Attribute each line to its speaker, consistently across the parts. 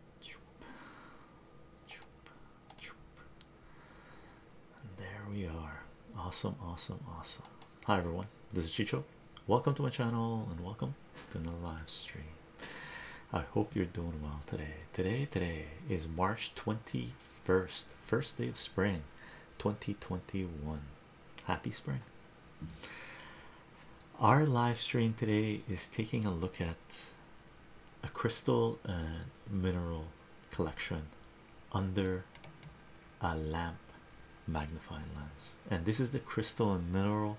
Speaker 1: And there we are. Awesome, awesome, awesome. Hi everyone, this is Chicho. Welcome to my channel and welcome to the live stream. I hope you're doing well today. Today, today is March 21st, first day of spring 2021. Happy spring our live stream today is taking a look at a crystal and mineral collection under a lamp magnifying lens and this is the crystal and mineral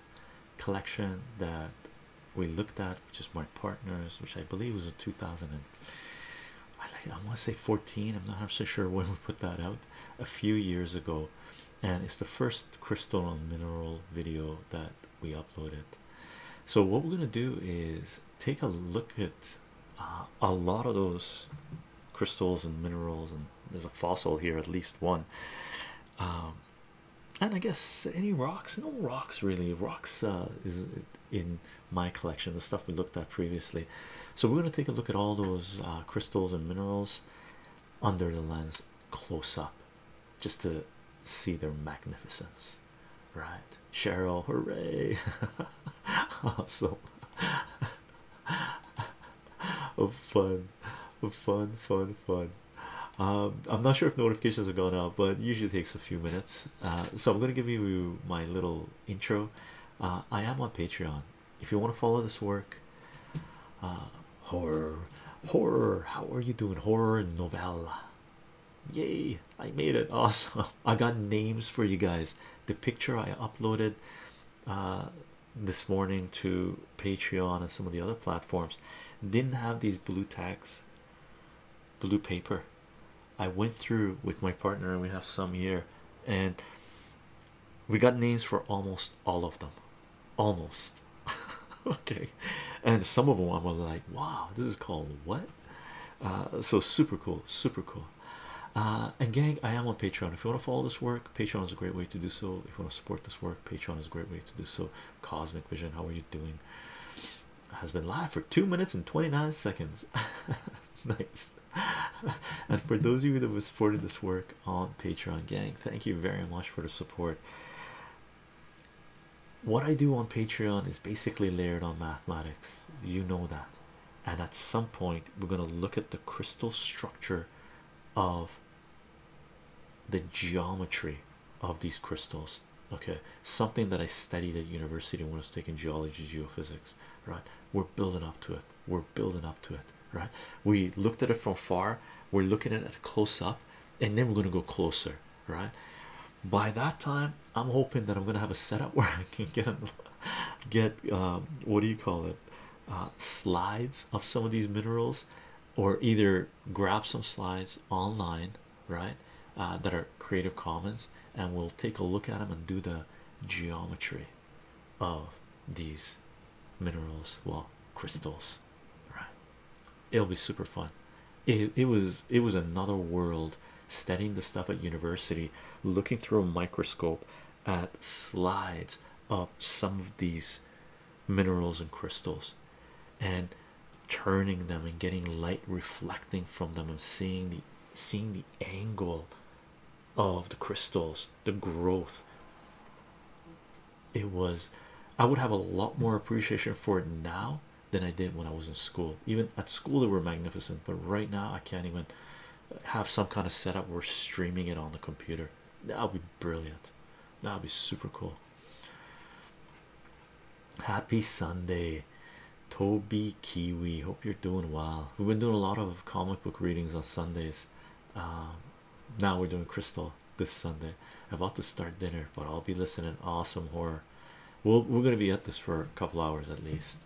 Speaker 1: collection that we looked at which is my partners which i believe was in 2000 and i, I want to say 14 i'm not so sure when we put that out a few years ago and it's the first crystal and mineral video that we upload it. So what we're gonna do is take a look at uh, a lot of those crystals and minerals, and there's a fossil here, at least one. Um, and I guess any rocks, no rocks really. Rocks uh, is in my collection, the stuff we looked at previously. So we're gonna take a look at all those uh, crystals and minerals under the lens close up just to see their magnificence, right? Cheryl, hooray! awesome. fun, fun, fun, fun. Um, I'm not sure if notifications have gone out, but usually takes a few minutes. Uh, so I'm gonna give you my little intro. Uh, I am on Patreon. If you want to follow this work, uh, horror, horror. How are you doing, horror novella? Yay, I made it awesome. I got names for you guys. The picture I uploaded uh, this morning to Patreon and some of the other platforms didn't have these blue tags, blue paper. I went through with my partner, and we have some here, and we got names for almost all of them. Almost okay, and some of them I was like, wow, this is called what? Uh, so super cool, super cool. Uh, and gang, I am on Patreon. If you want to follow this work, Patreon is a great way to do so. If you want to support this work, Patreon is a great way to do so. Cosmic Vision, how are you doing? Has been live for two minutes and 29 seconds. nice. and for those of you that have supported this work on Patreon, gang, thank you very much for the support what I do on Patreon is basically layered on mathematics, you know that. And at some point, we're going to look at the crystal structure of the geometry of these crystals. Okay, something that I studied at university when I was taking geology, geophysics. Right, we're building up to it, we're building up to it. Right, we looked at it from far, we're looking at it close up, and then we're going to go closer. Right, by that time i'm hoping that i'm gonna have a setup where i can get get um, what do you call it uh, slides of some of these minerals or either grab some slides online right uh, that are creative commons and we'll take a look at them and do the geometry of these minerals well crystals right it'll be super fun it, it was it was another world studying the stuff at university looking through a microscope at slides of some of these minerals and crystals and turning them and getting light reflecting from them and seeing the seeing the angle of the crystals the growth it was i would have a lot more appreciation for it now than I did when I was in school. Even at school, they were magnificent, but right now, I can't even have some kind of setup where streaming it on the computer. That would be brilliant. That would be super cool. Happy Sunday, Toby Kiwi. Hope you're doing well. We've been doing a lot of comic book readings on Sundays. Um, now we're doing Crystal this Sunday. About to start dinner, but I'll be listening. Awesome horror we are going to be at this for a couple hours at least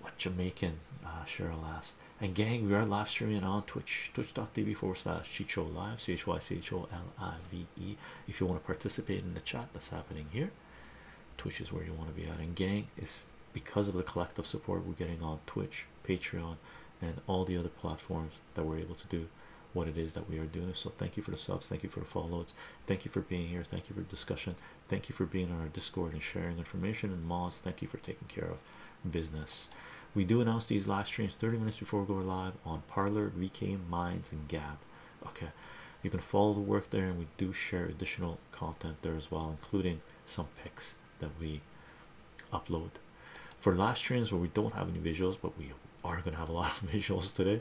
Speaker 1: what jamaican uh cheryl asked and gang we are live streaming on twitch twitch.tv forward slash chicho live c-h-y-c-h-o-l-i-v-e if you want to participate in the chat that's happening here twitch is where you want to be at and gang it's because of the collective support we're getting on twitch patreon and all the other platforms that we're able to do what it is that we are doing. So thank you for the subs, thank you for the follows, thank you for being here, thank you for discussion, thank you for being on our Discord and sharing information. And Moz, thank you for taking care of business. We do announce these live streams 30 minutes before we go live on Parlor, VK, Minds, and Gab. Okay, you can follow the work there, and we do share additional content there as well, including some pics that we upload for live streams where we don't have any visuals, but we are going to have a lot of visuals today.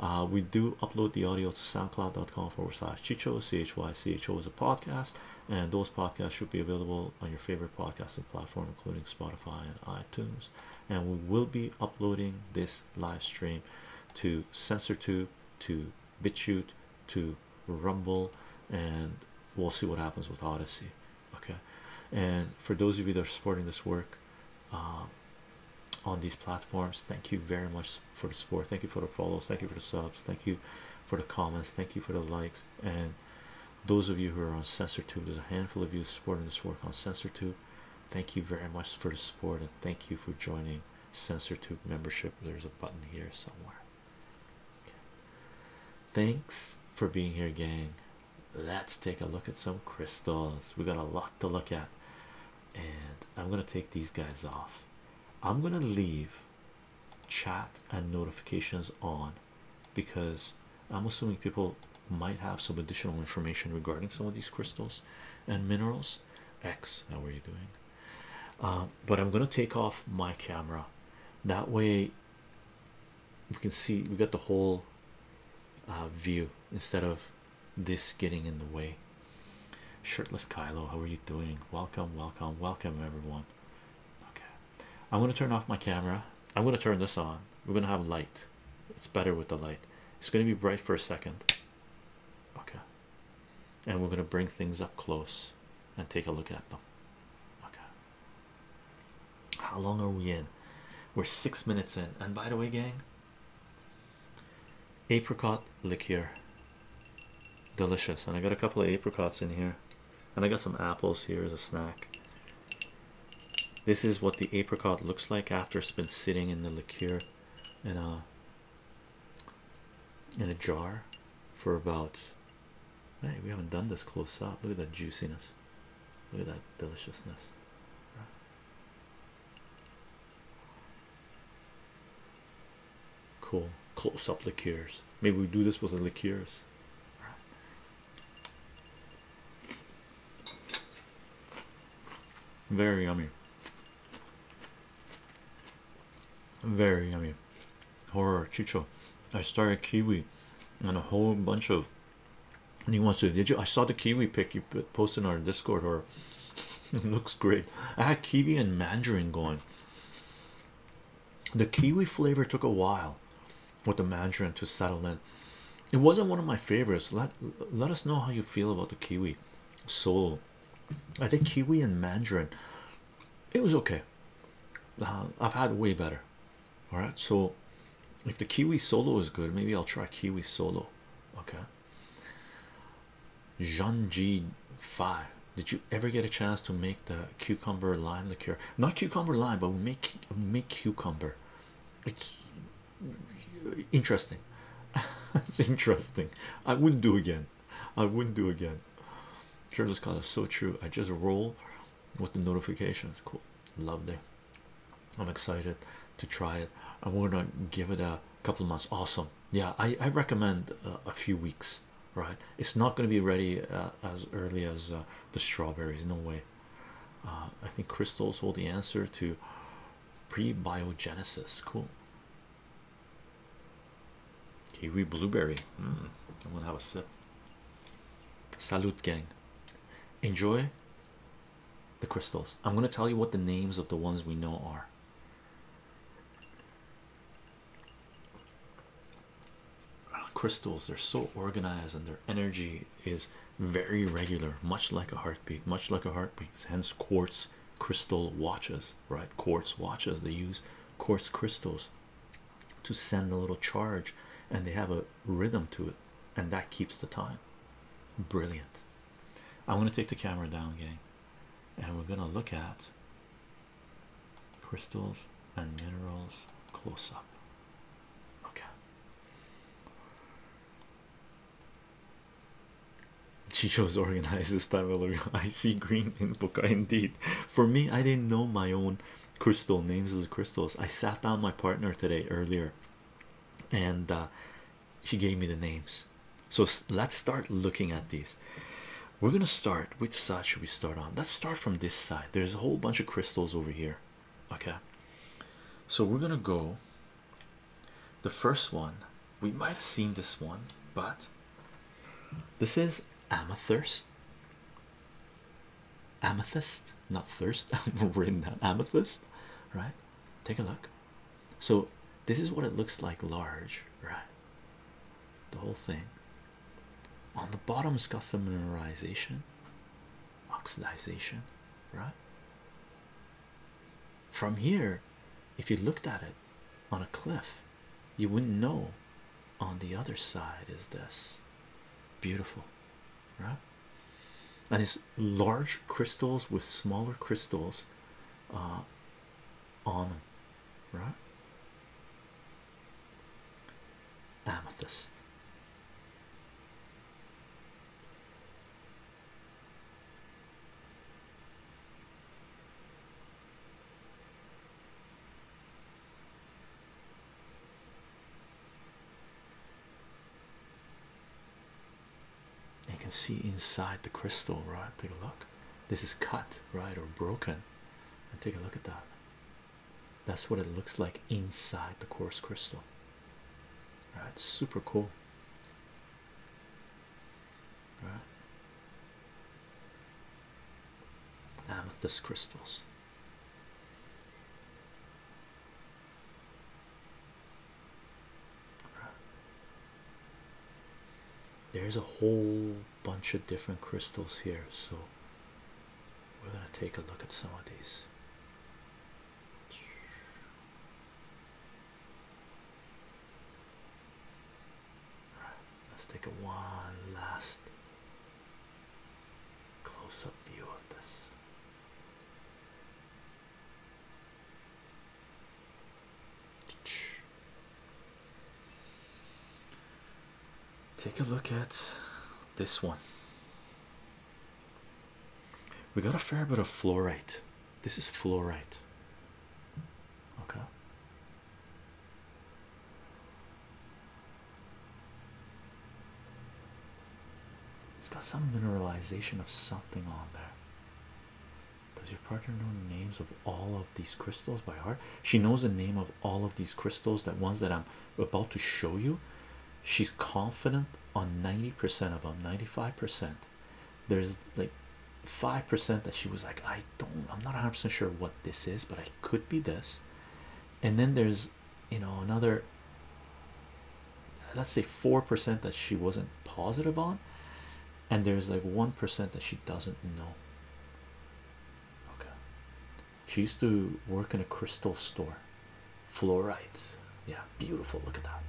Speaker 1: Uh, we do upload the audio to soundcloud.com forward slash chicho, C-H-Y-C-H-O is a podcast, and those podcasts should be available on your favorite podcasting platform, including Spotify and iTunes. And we will be uploading this live stream to SensorTube, to BitChute, to Rumble, and we'll see what happens with Odyssey. Okay, and for those of you that are supporting this work, uh, on these platforms. Thank you very much for the support. Thank you for the follows. Thank you for the subs. Thank you for the comments. Thank you for the likes. And those of you who are on SensorTube, there's a handful of you supporting this work on SensorTube. Thank you very much for the support and thank you for joining SensorTube membership. There's a button here somewhere. Thanks for being here, gang. Let's take a look at some crystals. We got a lot to look at, and I'm gonna take these guys off. I'm gonna leave chat and notifications on because I'm assuming people might have some additional information regarding some of these crystals and minerals. X, how are you doing? Um, but I'm gonna take off my camera that way we can see we got the whole uh, view instead of this getting in the way. Shirtless Kylo, how are you doing? Welcome, welcome, welcome, everyone. Okay, I'm gonna turn off my camera. I'm gonna turn this on. We're gonna have light. It's better with the light. It's gonna be bright for a second. Okay, and we're gonna bring things up close and take a look at them. Okay, how long are we in? We're six minutes in, and by the way, gang, apricot liqueur delicious and i got a couple of apricots in here and i got some apples here as a snack this is what the apricot looks like after it's been sitting in the liqueur in a in a jar for about hey we haven't done this close up look at that juiciness look at that deliciousness Cool. Close up liqueurs. Maybe we do this with the liqueurs. Very yummy. Very yummy. Horror chicho. I started kiwi and a whole bunch of he wants to. Did you? I saw the kiwi pick you posted on Discord, or looks great. I had kiwi and mandarin going. The kiwi flavor took a while with the mandarin to settle in. It wasn't one of my favorites. Let let us know how you feel about the kiwi solo. I think kiwi and mandarin. It was okay. Uh, I've had way better. All right, so if the kiwi solo is good, maybe I'll try kiwi solo. Okay, Jean G five. Did you ever get a chance to make the cucumber lime liqueur? Not cucumber lime, but make make cucumber. It's interesting. it's interesting. I wouldn't do again. I wouldn't do again. Sure, this call is so true. I just roll with the notifications. Cool. Love Lovely. I'm excited to try it. I am going to give it a couple of months. Awesome. Yeah, I, I recommend a few weeks, right? It's not going to be ready uh, as early as uh, the strawberries. No way. Uh, I think crystals hold the answer to prebiogenesis. Cool. Kiwi blueberry. Hmm, I'm gonna have a sip. Salute, gang. Enjoy the crystals. I'm going to tell you what the names of the ones we know are. Crystals, they're so organized and their energy is very regular, much like a heartbeat, much like a heartbeat, hence quartz crystal watches, right? Quartz watches, they use quartz crystals to send a little charge and they have a rhythm to it, and that keeps the time. Brilliant. I'm gonna take the camera down, gang, and we're gonna look at crystals and minerals close up. Okay. Chicho's organized this time, I see green in book. Indeed, for me, I didn't know my own crystal names of the crystals. I sat down my partner today earlier, and uh, she gave me the names. So let's start looking at these. We're gonna start. Which side should we start on? Let's start from this side. There's a whole bunch of crystals over here. Okay, so we're gonna go. The first one we might have seen this one, but this is amethyst. Amethyst, not thirst. We're in that amethyst, right? Take a look. So this is what it looks like large, right? The whole thing. On the bottom it's got some mineralization, oxidization, right? From here, if you looked at it on a cliff, you wouldn't know on the other side is this beautiful, right? And it's large crystals with smaller crystals uh, on them, right? Amethyst. You can see inside the crystal, right? Take a look. This is cut, right, or broken. And take a look at that. That's what it looks like inside the coarse crystal. Right? Super cool. Right? Amethyst crystals. There's a whole bunch of different crystals here, so we're going to take a look at some of these. right, let's take a one last close up view of this. Take a look at this one. We got a fair bit of fluorite. This is fluorite. Okay. It's got some mineralization of something on there. Does your partner know the names of all of these crystals by heart? She knows the name of all of these crystals, that ones that I'm about to show you. She's confident on 90% of them, 95%. There's like 5% that she was like, I don't, I'm not 100% sure what this is, but I could be this. And then there's, you know, another, let's say 4% that she wasn't positive on and there's like 1% that she doesn't know. Okay. She used to work in a crystal store. Fluorite. Yeah, beautiful. Look at that.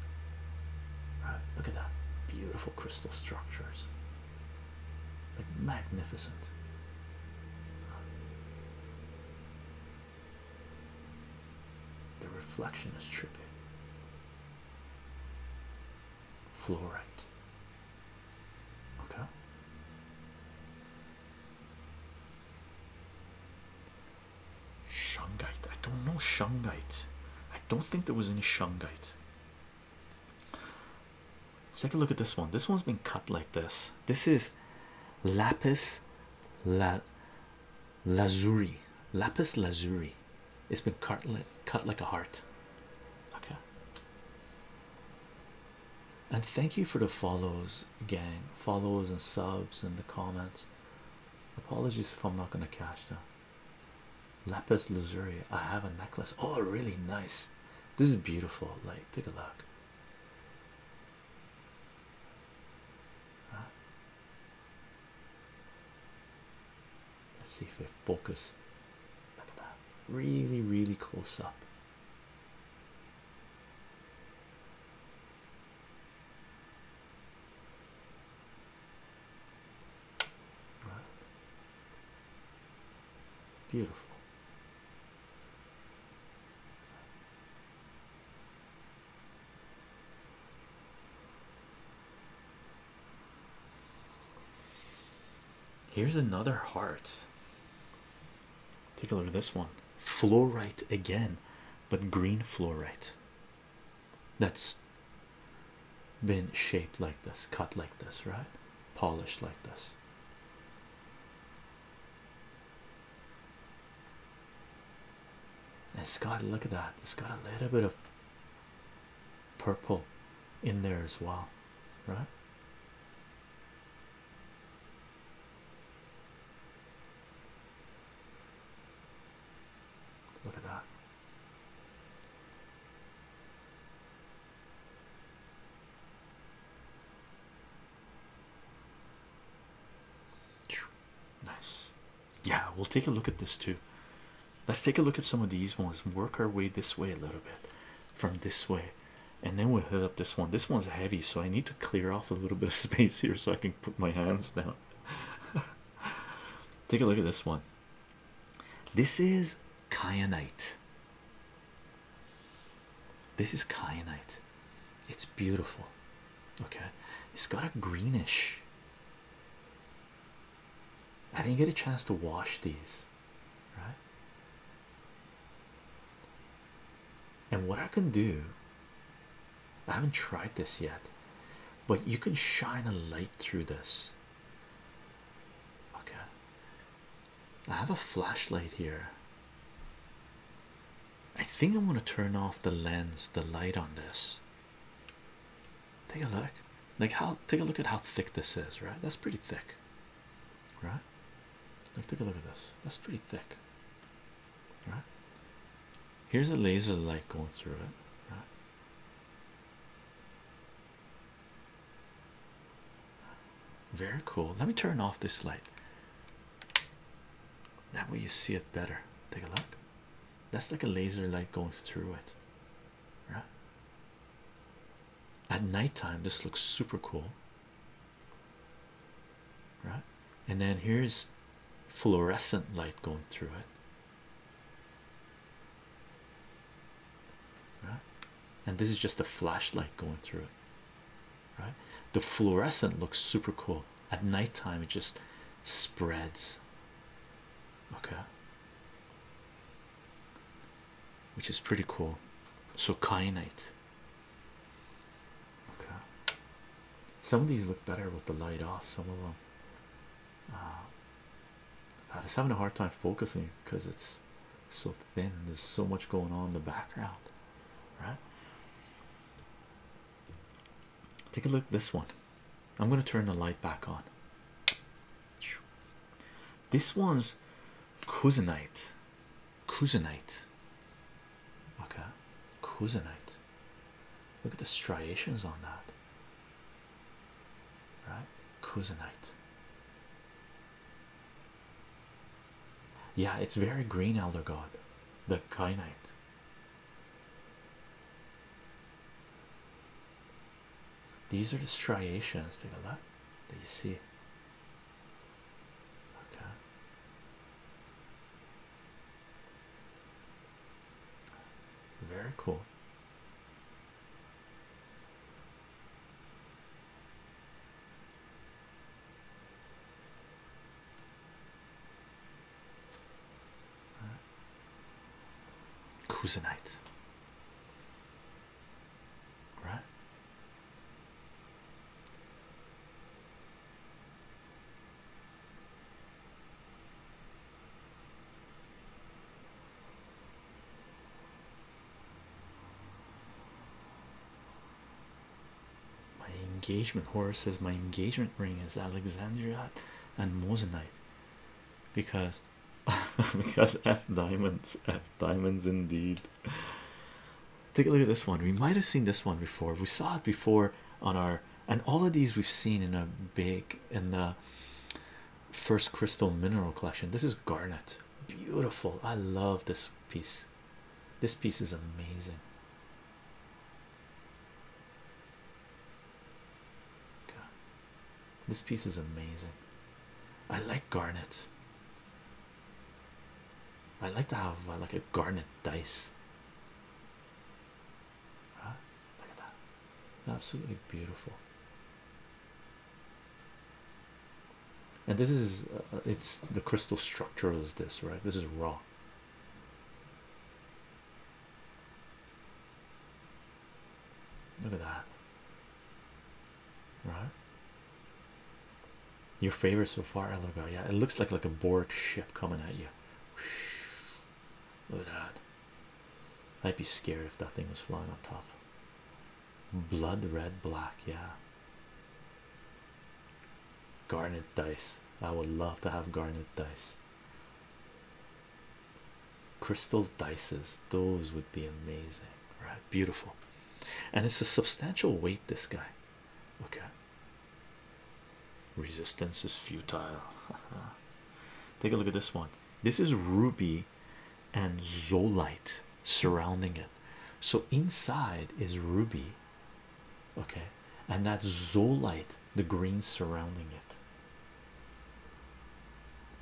Speaker 1: Right, look at that. Beautiful crystal structures. Like magnificent. The reflection is trippy fluorite. Okay. Shungite. I don't know shungite. I don't think there was any shungite. take a look at this one. This one's been cut like this. This is lapis la lazuri, lapis lazuri. It's been cut like, cut like a heart. Okay. And thank you for the follows, gang. Follows and subs and the comments. Apologies if I'm not gonna catch them. Lapis lazuri. I have a necklace. Oh, really nice. This is beautiful. Like, take a look. Let's see if I focus. Look at that. Really, really close up. Beautiful. Here's another heart. Take a look at this one. Fluorite again, but green fluorite. That's been shaped like this, cut like this, right? Polished like this. And Scott, look at that. It's got a little bit of purple in there as well, right? Look at that. Nice yeah we'll take a look at this too let's take a look at some of these ones work our way this way a little bit from this way and then we'll hit up this one this one's heavy so i need to clear off a little bit of space here so i can put my hands down take a look at this one this is kyanite this is kyanite it's beautiful okay it's got a greenish I didn't get a chance to wash these, right? And what I can do, I haven't tried this yet, but you can shine a light through this. Okay, I have a flashlight here. I think I want to turn off the lens, the light on this. Take a look, like how take a look at how thick this is, right? That's pretty thick, right? Like, take a look at this, that's pretty thick, right? Here's a laser light going through it, right? Very cool. Let me turn off this light. That way you see it better. Take a look. That's like a laser light going through it right? At nighttime, this looks super cool, right? And then here's fluorescent light going through it, right? And this is just a flashlight going through it, right? The fluorescent looks super cool at nighttime, it just spreads okay, which is pretty cool. So, kyanite, okay, some of these look better with the light off, some of them. Uh, I'm just having a hard time focusing because it's so thin, there's so much going on in the background, right? Take a look at this one. I'm gonna turn the light back on. This one's kuzenite, kuzenite. Okay, cousinite. Look at the striations on that. Right, cousinite. Yeah, it's very green, Elder God, the kainite. These are the striations. Take a look that you see. Okay. Very cool. Cousinite. Right? My engagement horse says my engagement ring is Alexandria and Mosinite because because F diamonds, F diamonds indeed. Take a look at this one. We might have seen this one before. We saw it before on our, and all of these we've seen in a big in the first crystal mineral collection. This is garnet, beautiful. I love this piece. This piece is amazing. This piece is amazing. I like garnet. I like to have uh, like a garnet dice. Right? Look at that. Absolutely beautiful. And this is uh, it's the crystal structure is this, right? This is raw. Look at that. Right? Your favorite so far, Elgo. Yeah, it looks like like a Borg ship coming at you. Look at that. I'd be scared if that thing was flying on top. Blood red, black, yeah. Garnet dice. I would love to have garnet dice crystal dices those would be amazing right beautiful and it's a substantial weight this guy okay resistance is futile take a look at this one this is ruby and zolite surrounding it so inside is ruby okay and that zolite the green surrounding it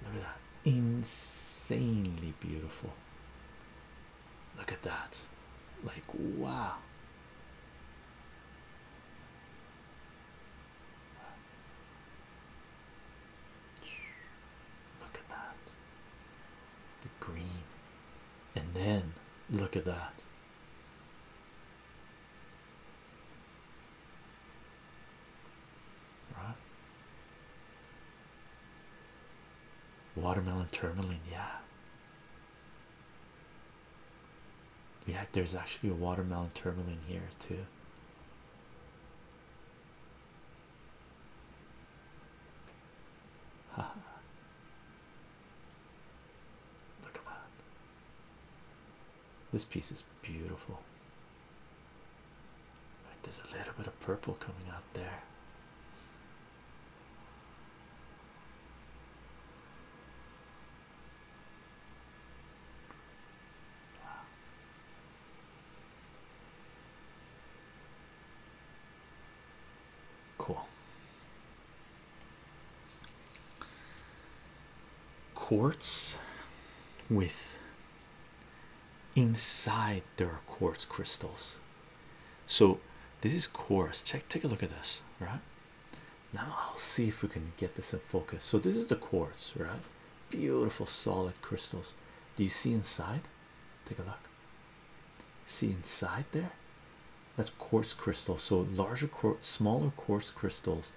Speaker 1: Look at that. Insanely beautiful. Look at that. Like, wow. Look at that. The green. And then look at that. Right? Watermelon tourmaline, yeah. Yeah, there's actually a watermelon tourmaline here too. Look at that. This piece is beautiful. there's a little bit of purple coming out there. Cool. Quartz with inside there are quartz crystals so this is quartz check take a look at this right now i'll see if we can get this in focus so this is the quartz right beautiful solid crystals do you see inside take a look see inside there that's quartz crystal so larger quartz smaller quartz crystals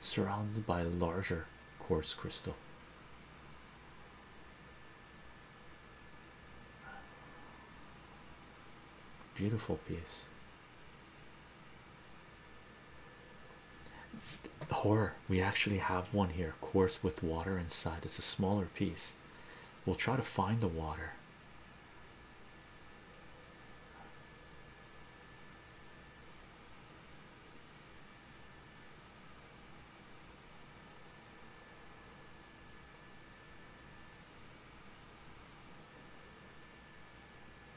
Speaker 1: surrounded by larger quartz crystal. Beautiful piece. Horror, we actually have one here, quartz with water inside. It's a smaller piece. We'll try to find the water.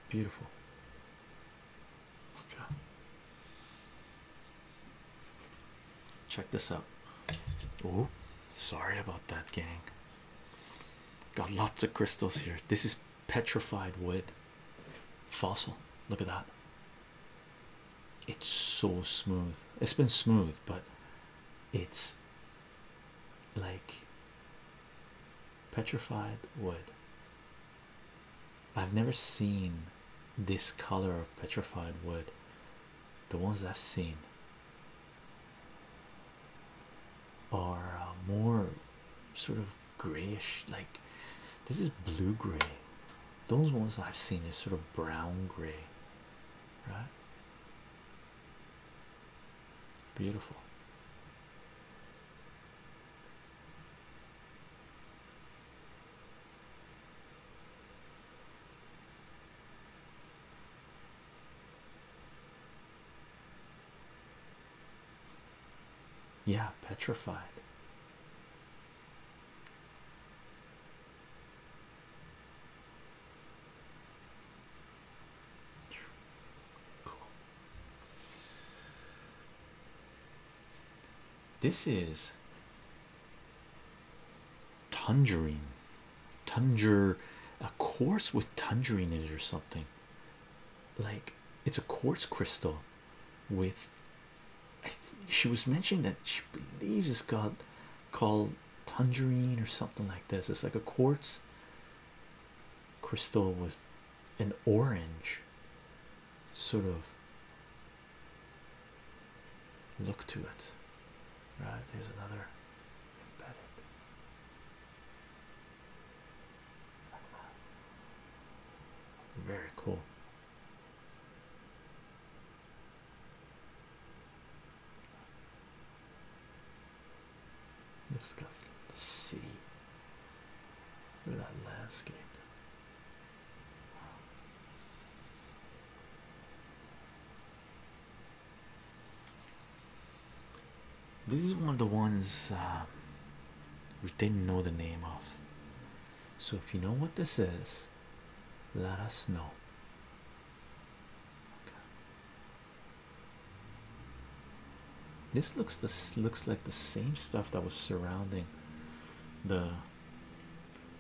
Speaker 1: Beautiful. Okay. Check this out. Oh, sorry about that, gang. Got lots of crystals here. This is petrified wood fossil. Look at that. It's so smooth. It's been smooth, but it's like petrified wood. I've never seen this color of petrified wood. The ones I've seen are uh, more sort of grayish like this is blue gray those ones I've seen is sort of brown gray right beautiful yeah, petrified. Cool. This is Tangerine. Tanger a quartz with tangerine in it or something. Like it's a quartz crystal with she was mentioning that she believes it's got called tangerine or something like this. It's like a quartz crystal with an orange sort of look to it.
Speaker 2: Right, there's another embedded. Very cool.
Speaker 1: Disgusting city. Look at that landscape. This is one of the ones um, we didn't know the name of. So if you know what this is, let us know. This looks this looks like the same stuff that was surrounding the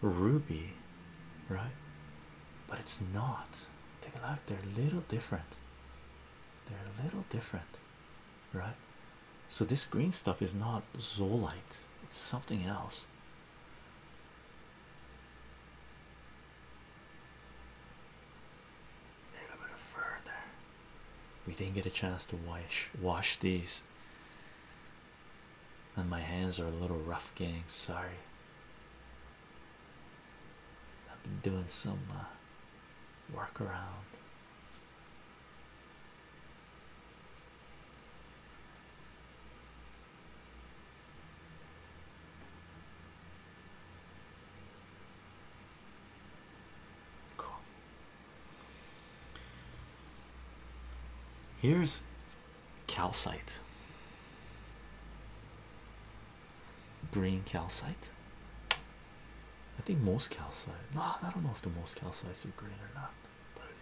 Speaker 1: ruby, right? But it's not. Take a look, they're a little different. They're a little different right? So, this green stuff is not zoolite, it's something else.
Speaker 2: A little bit further,
Speaker 1: we didn't get a chance to wash wash these, and my hands are a little rough, gang. Sorry, I've been doing some uh, work around Here's calcite. Green calcite. I think most calcite. No, I don't know if the most calcites are green or not. Part of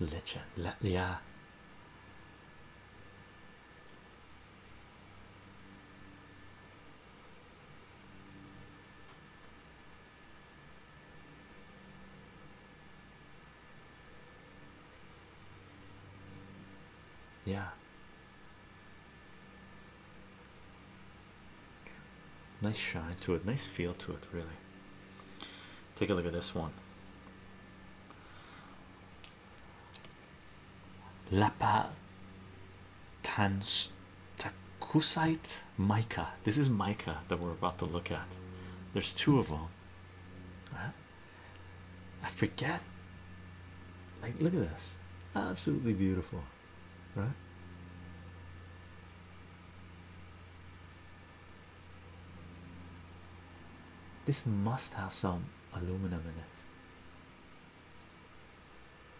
Speaker 1: the truth. Legend, yeah. Yeah, Nice shine to it, nice feel to it, really. Take a look at this one. Lapa Lapatakusite mica. This is mica that we're about to look at. There's two of them. I forget. Like, look at this. Absolutely beautiful right this must have some aluminum in it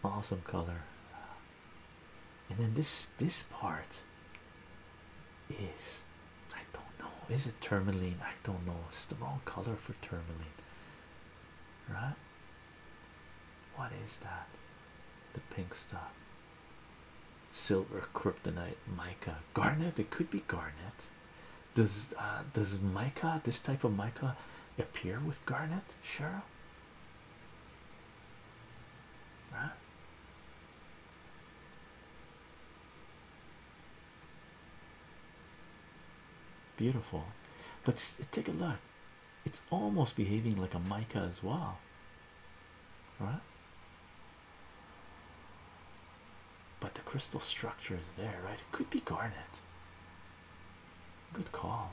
Speaker 1: awesome color and then this this part is I don't know is it tourmaline I don't know it's the wrong color for tourmaline right
Speaker 2: what is that?
Speaker 1: The pink stuff. Silver, kryptonite, mica, garnet. It could be garnet. Does uh, does mica this type of mica appear with garnet, Cheryl? Beautiful, but take a look it's almost behaving like a mica as well right but the crystal structure is there right it could be garnet good call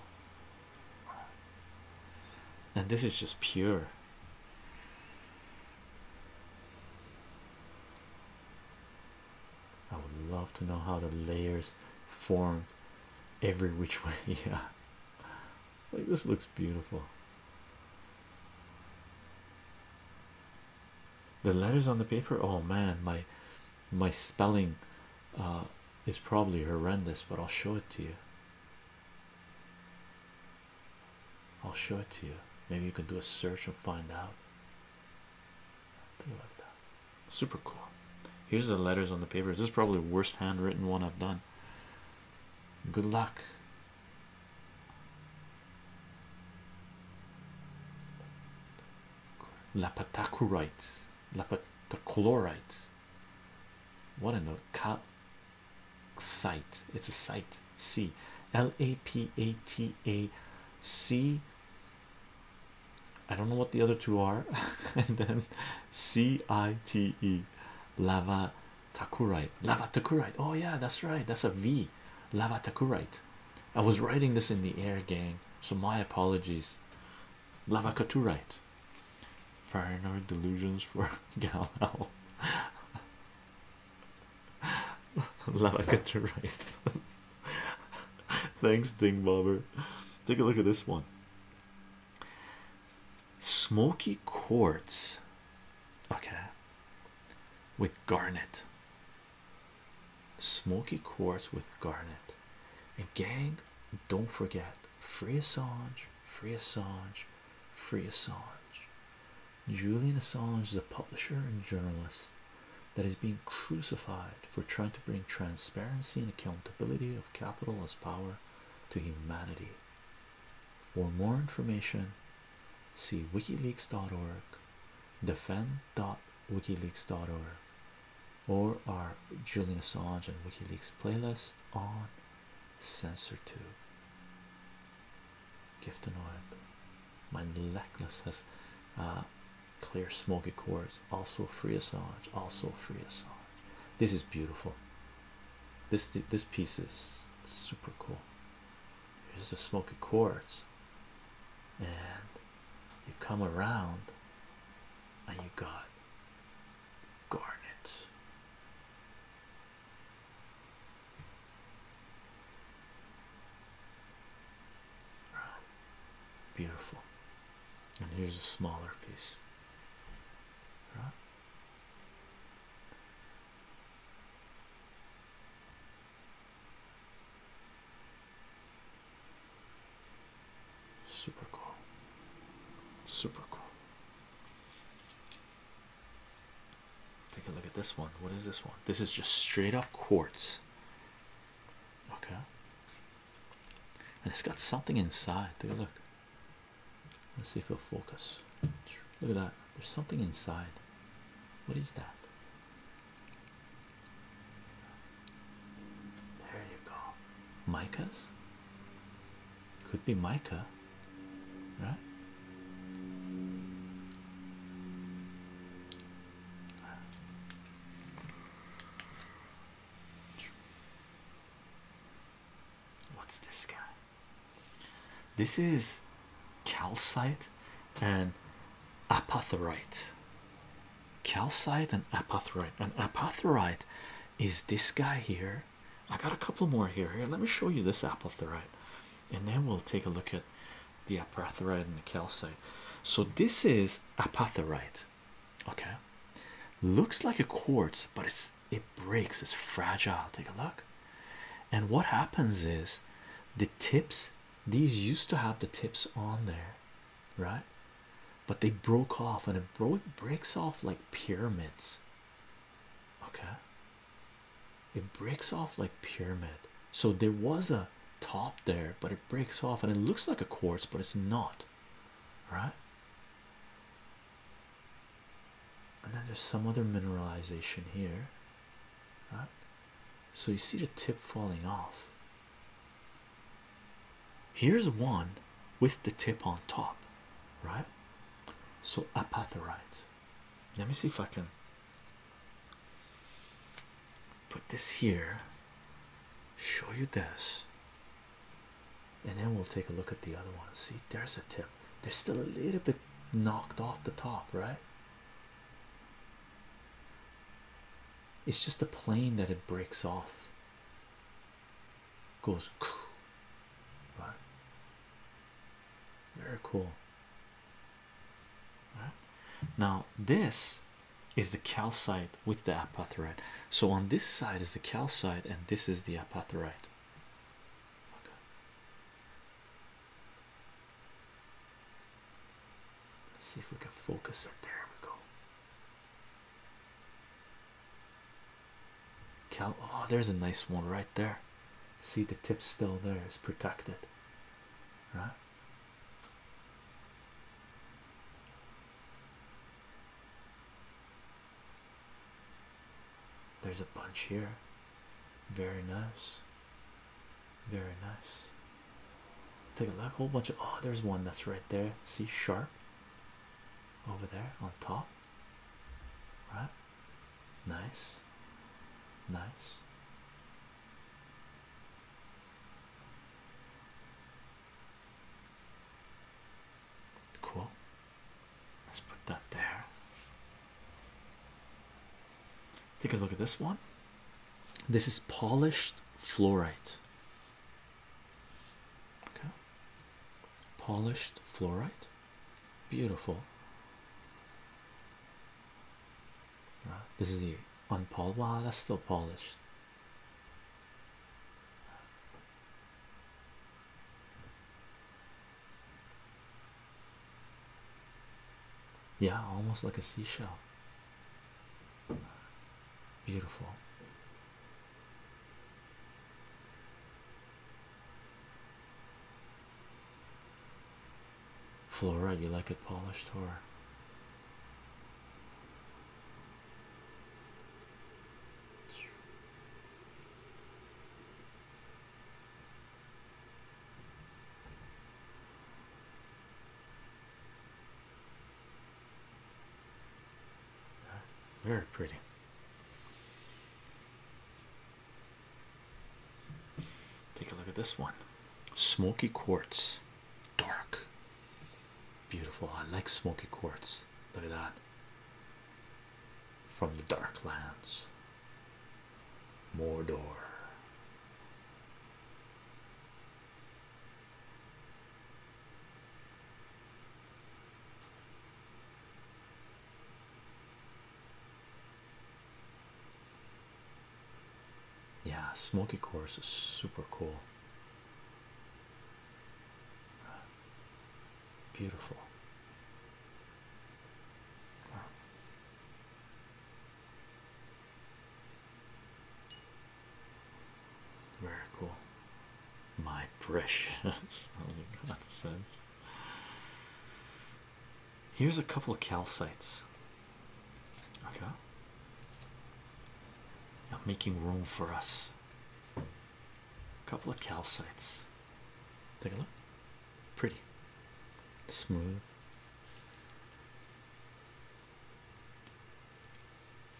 Speaker 1: and this is just pure I would love to know how the layers formed every which way. Yeah, like this looks beautiful. The letters on the paper. Oh man, my my spelling uh, is probably horrendous, but I'll show it to you. I'll show it to you. Maybe you can do a search and find out. Think about that. Super cool. Here's the letters on the paper. This is probably the worst handwritten one I've done. Good luck. Lapatacurite. Lapatachlorite. What in the cal site? It's a site. C L A P A T A C I don't know what the other two are, and then C I T E lava takurite. Lava takurite. Oh, yeah, that's right. That's a V. Lava takurite. I was writing this in the air, gang, so my apologies. Lava takurite. Paranoid delusions for Galao. Lava takurite. Thanks, Ding Take a look at this one. Smoky quartz, okay, with garnet. Smoky quartz with garnet. And gang, don't forget free Assange, free Assange, free Assange. Julian Assange is a publisher and journalist that is being crucified for trying to bring transparency and accountability capital as power to humanity. For more information, see wikileaks.org, defend.wikileaks.org, or our Julian Assange and WikiLeaks playlist on CensorTube. Giftanoid, my necklace has uh, clear smoky quartz, also a free Assange also a free Assange this is beautiful this this piece is super cool here's the smoky quartz and you come around and you got garnets. wow. beautiful and here's a smaller piece Super cool, super cool. Take a look at this one. What is this one? This is just straight up quartz. Okay, and it's got something inside. Take a look. Let's see if it'll focus. Look at that. There's something inside. What is that? There you go. Micahs? Could be mica, right? What's this guy? This is calcite and apatherite. Calcite and apatherite. And apatherite is this guy here. I got a couple more here. Here, let me show you this apatherite, and then we'll take a look at the apatherite and the calcite. So this is apatherite. Okay, looks like a quartz, but it's it breaks, it's fragile. Take a look. And what happens is the tips, these used to have the tips on there, right? But they broke off and it broke breaks off like pyramids. Okay. It breaks off like pyramid. So there was a top there, but it breaks off and it looks like a quartz, but it's not right? And then there's some other mineralization here, right? So you see the tip falling off. Here's one with the tip on top, right? So apatherite. Let me see if I can put this here, show you this, and then we'll take a look at the other one. See, there's a tip, they're still a little bit knocked off the top, right? It's just the plane that it breaks off, goes right. Very cool. All right. Now, this is the calcite with the apatite so on this side is the calcite and this is the apatite Let's see if we can focus it. There we go. Cal oh, there's a nice one right there. See the tip still there, it's protected. Right? There's a bunch here. Very nice. Very nice. Take a look. Whole bunch of oh, there's one that's right there. See sharp over there on top. Right? Nice. Nice. Cool. Let's put that there. Take a look at this one. This is polished fluorite. Okay. Polished fluorite. Beautiful. Uh, this is the unpolished. that's still polished. Yeah, almost like a seashell. Beautiful. Flora, you like it polished or very pretty. Take a look at this one. Smoky quartz. Dark. Beautiful. I like smoky quartz. Look at that. From the dark lands. Mordor. Yeah, Smoky Course is super cool. Beautiful. Very cool. My precious. Only God Here's a couple of calcites. Okay. I'm making room for us a couple of calcites. Take a look, pretty smooth,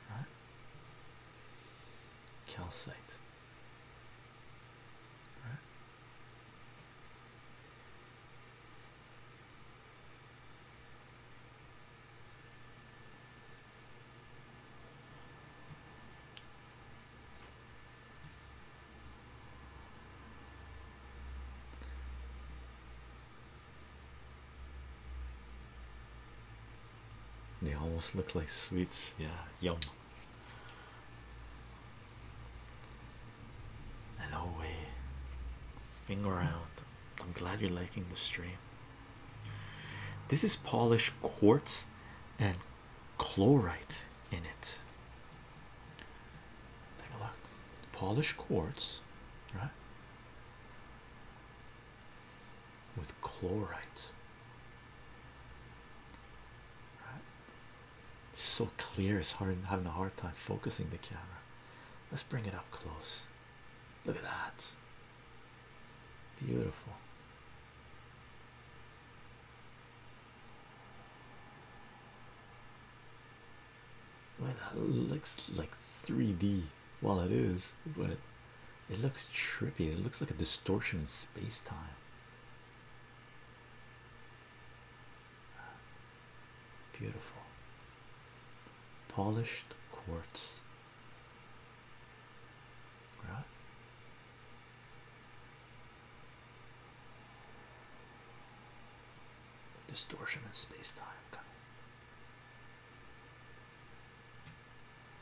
Speaker 1: right? Calcite, right? They almost look like sweets, yeah, yum. Hello, way. Finger out. I'm glad you're liking the stream. This is polished quartz and chlorite in it. Take a look. Polished quartz, right? With chlorites, Right? It's so clear, it's hard having a hard time focusing the camera. Let's bring it up close. Look at that. Beautiful. Well, it looks like 3D. Well, it is, but it looks trippy. It looks like a distortion in space time. Beautiful. Polished quartz. Distortion in space time. Coming.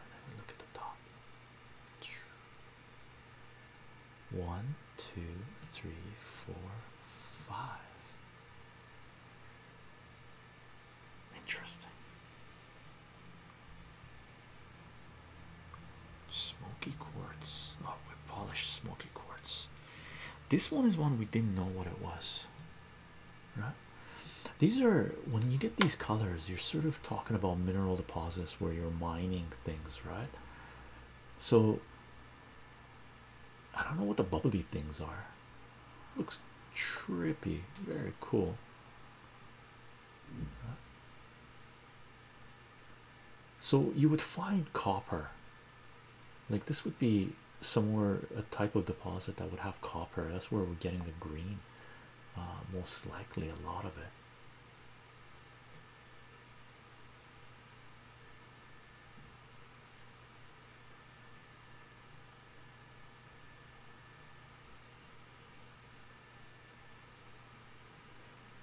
Speaker 1: And then we look at the top. One, two, three, four,
Speaker 2: five. Interesting.
Speaker 1: Smoky quartz. Oh, we polished smoky quartz. This one is one we didn't know what it was. Right? These are when you get these colors, you're sort of talking about mineral deposits where you're mining things, right? So I don't know what the bubbly things are. Looks trippy, very cool so you would find copper like this would be somewhere a type of deposit that would have copper that's where we're getting the green uh, most likely a lot of it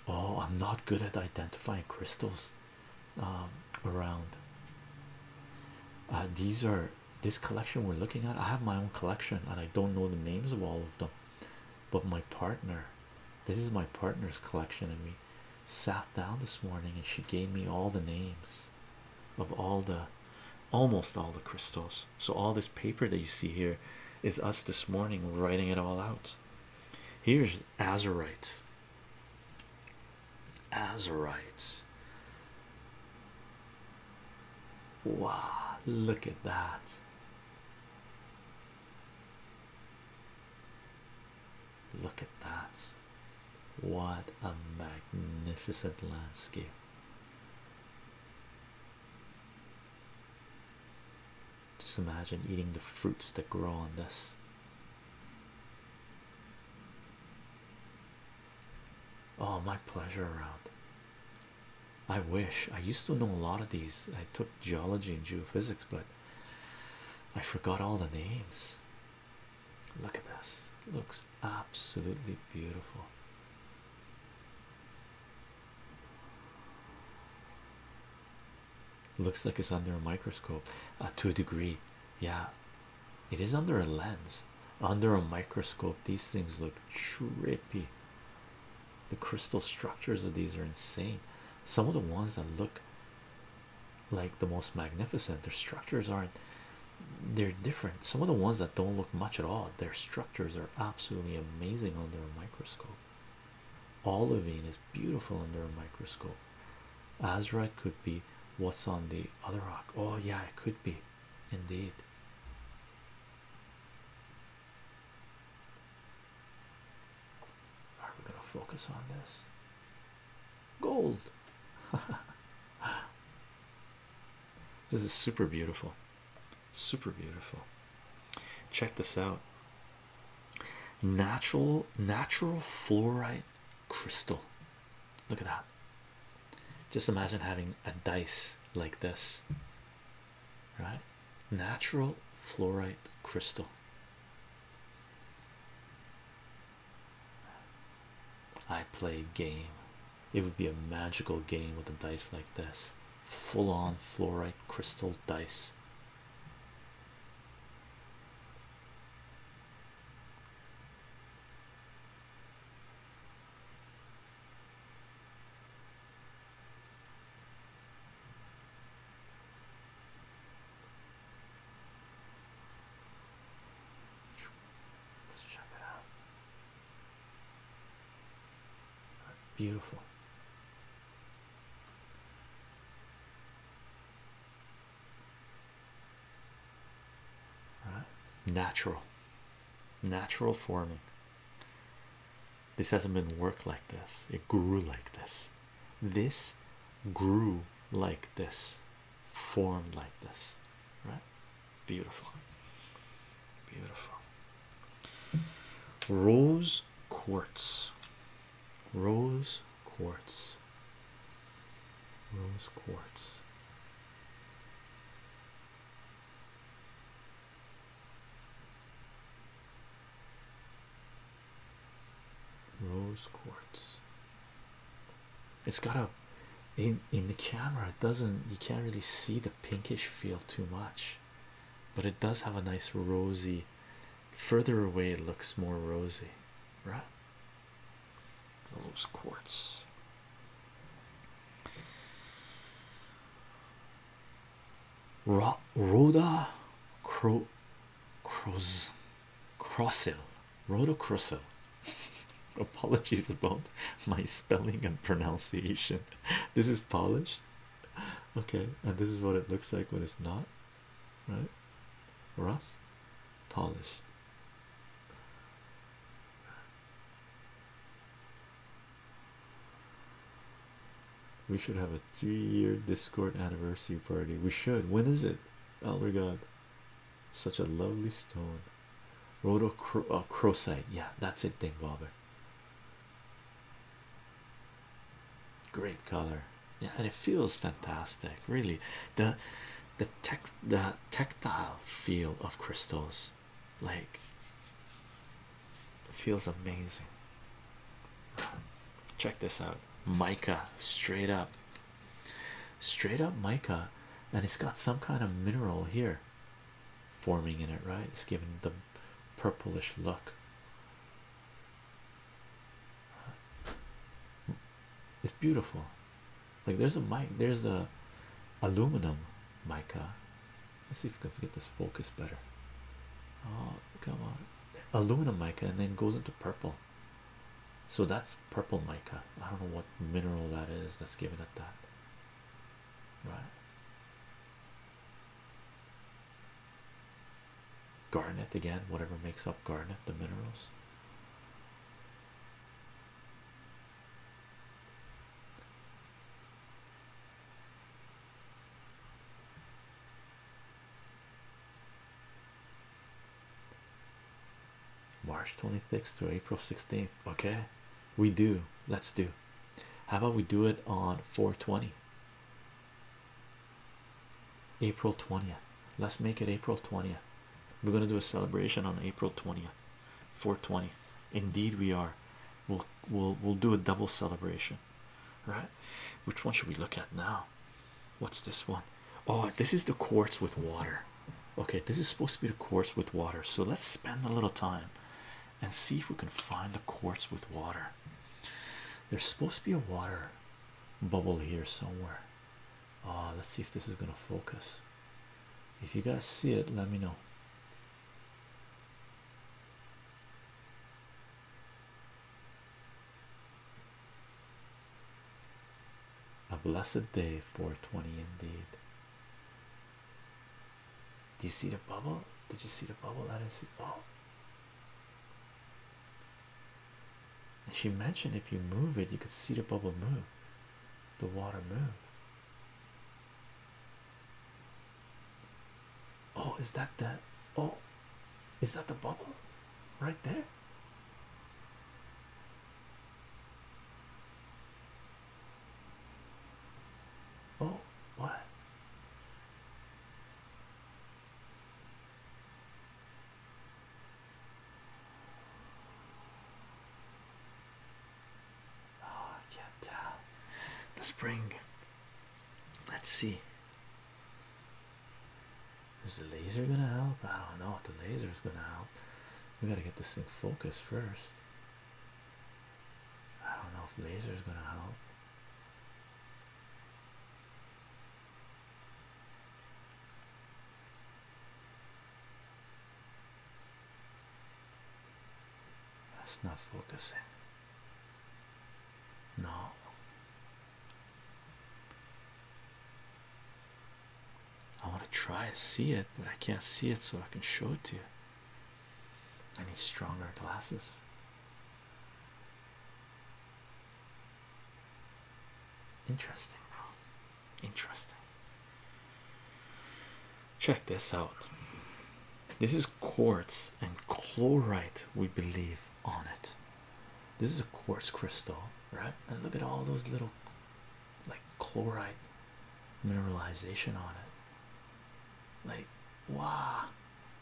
Speaker 1: Oh, I'm not good at identifying crystals um, around. Uh, these are this collection we're looking at. I have my own collection and I don't know the names of all of them, but my partner, this is my partner's collection, and we sat down this morning and she gave me all the names of all the almost all the crystals so, all this paper that you see here is us this morning writing it all out. Here's Azurite. Azurite. Wow, look at that. Look at that. What a magnificent landscape. Just imagine eating the fruits that grow on this. Oh, my pleasure around. I wish I used to know a lot of these. I took geology and geophysics, but I forgot all the names. Look at this, looks absolutely beautiful. Looks like it's under a microscope uh, to a degree. Yeah, it is under a lens, under a microscope. These things look trippy. The crystal structures of these are insane. Some of the ones that look like the most magnificent, their structures aren't, they're different. Some of the ones that don't look much at all, their structures structures are absolutely amazing under a microscope. Olivine is beautiful under a microscope. Azurite could be what's on the other rock. Oh, yeah, it could be indeed. Are we going to focus on this? Gold. this is super beautiful super beautiful. Check this out natural, natural fluorite crystal. Look at that. Just imagine having a dice like this, right? Natural fluorite crystal. I play game. It would be a magical game with a dice like this full on fluorite crystal dice. Let's check it out. Beautiful. All right. Natural, natural forming. This hasn't been work like this, it grew like this. This grew like this, formed like this, right? Beautiful, beautiful rose quartz rose quartz rose quartz rose quartz it's got a in in the camera it doesn't you can't really see the pinkish feel too much but it does have a nice rosy. Further away, it looks more rosy, right? Those quartz. Ro Rhoda Cro Cross Crossil. Rhoda Crossil. Apologies about my spelling and pronunciation. This is polished okay, and this is what it looks like when it's not, right? Rust, polished. We should have a three-year Discord anniversary party. We should. When is it? Oh my God! Such a lovely stone. Roto cro oh, Yeah, that's it, thing, bobber. Great color, yeah, and it feels fantastic. Really, the the text the tactile feel of crystals, like, feels amazing. Check this out, mica, straight up, straight up mica, and it's got some kind of mineral here forming in it, right? It's giving the purplish look. It's beautiful. Like there's a mic, there's a aluminum mica. Let's see if we can get this focus better. Oh, come on. Aluminum mica and then goes into purple. So that's purple mica. I don't know what mineral that is is. Let's give it a that. Right. Garnet again, whatever makes up garnet, the minerals. March 26th to April 16th. Okay, we do. Let's do how about we do it on 420? April 20th. Let's make it April 20th. We're gonna do a celebration on April 20th, 420. Indeed, we are. We'll we'll we'll do a double celebration, right? Which one should we look at now? What's this one? Oh, this is the quartz with water. Okay, this is supposed to be the quartz with water. So let's spend a little time and see if we can find the quartz with water. There's supposed to be a water bubble here somewhere. Ah, let's see if this is going to focus. If you guys see it, let me know. A blessed day, 420 indeed. Do you see the bubble? Did you see the bubble? I didn't see. Oh, and she mentioned if you move it, you could see the bubble move, the water move. Oh, is that the oh, is that the bubble right there?
Speaker 2: Oh, what?
Speaker 1: Oh, I can't tell. The spring. Let's see. Is the laser gonna help? I don't know if the laser is gonna help. We gotta get this thing focused first. I don't know if laser is gonna help. That's not focusing. No. I want to try to see it, but I can't see it, so I can show it to you. I need stronger glasses. Interesting, Interesting. Check this out. This is quartz and chlorite, we believe, on it. This is a quartz crystal, right? And look at all those little, like, chlorite mineralization on it. Like, wow,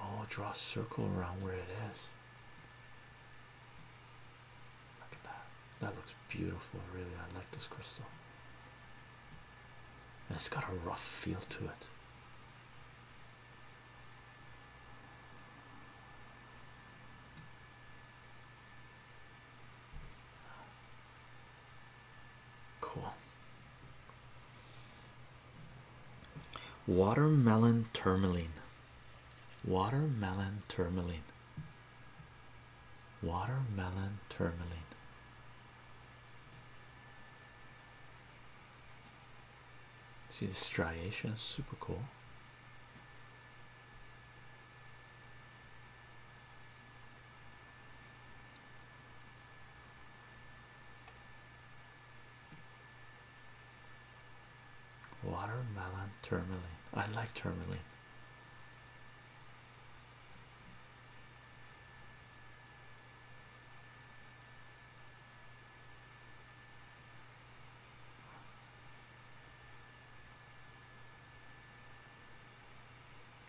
Speaker 1: Oh, draw a circle around where it is. Look at that. That looks beautiful, really. I like this crystal. And it's got a rough feel to it. Cool. Watermelon tourmaline, watermelon tourmaline, watermelon tourmaline. See the striations, super cool. Watermelon tourmaline. I like tourmaline.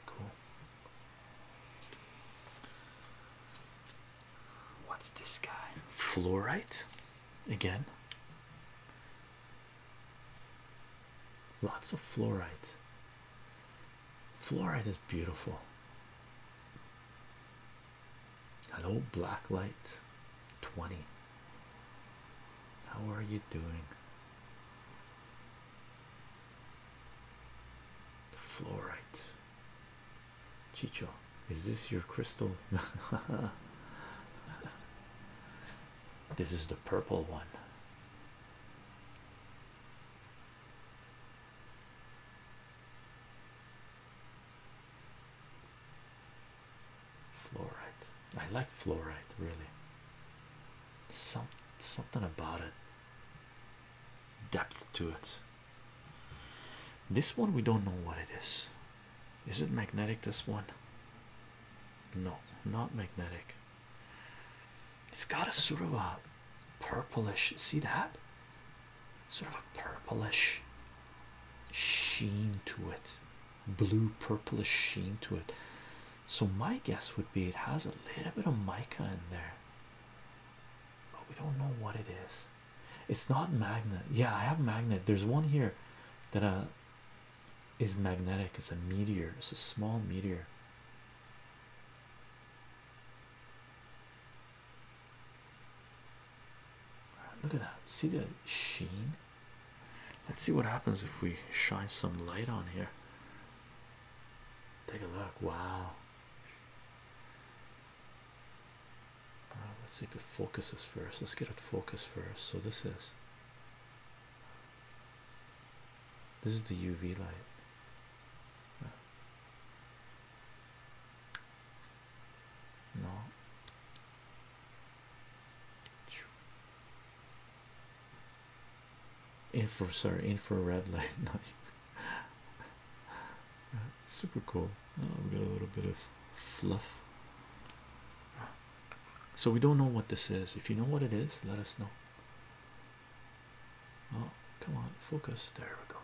Speaker 1: Cool. What's this guy? Fluorite again. Lots of fluorite. Fluorite is beautiful. Hello, black light 20. How are you doing? Fluorite. Chicho, is this your crystal? this is the purple one. Fluorite. I like fluorite really. Some something about it. Depth to it. This one we don't know what it is. Is it magnetic? This one, no, not magnetic. It's got a sort of a purplish, see that sort of a purplish sheen to it, blue purplish sheen to it. So, my guess would be it has a little bit of mica in there, but we don't know what it is. It's not magnet. Yeah, I have magnet. There's one here that uh is magnetic. It's a meteor. It's a small meteor. Look at that. See the sheen? Let's see what happens if we shine some light on here.
Speaker 2: Take a look. Wow.
Speaker 1: Uh, let's see if it focuses first. Let's get it focused first. So this is this is the UV light. No. Infra sorry, infrared light. super cool. Oh, we got a little bit of fluff. So we don't know what this is. If you know what it is, let us know. Oh, come on, focus. There we go.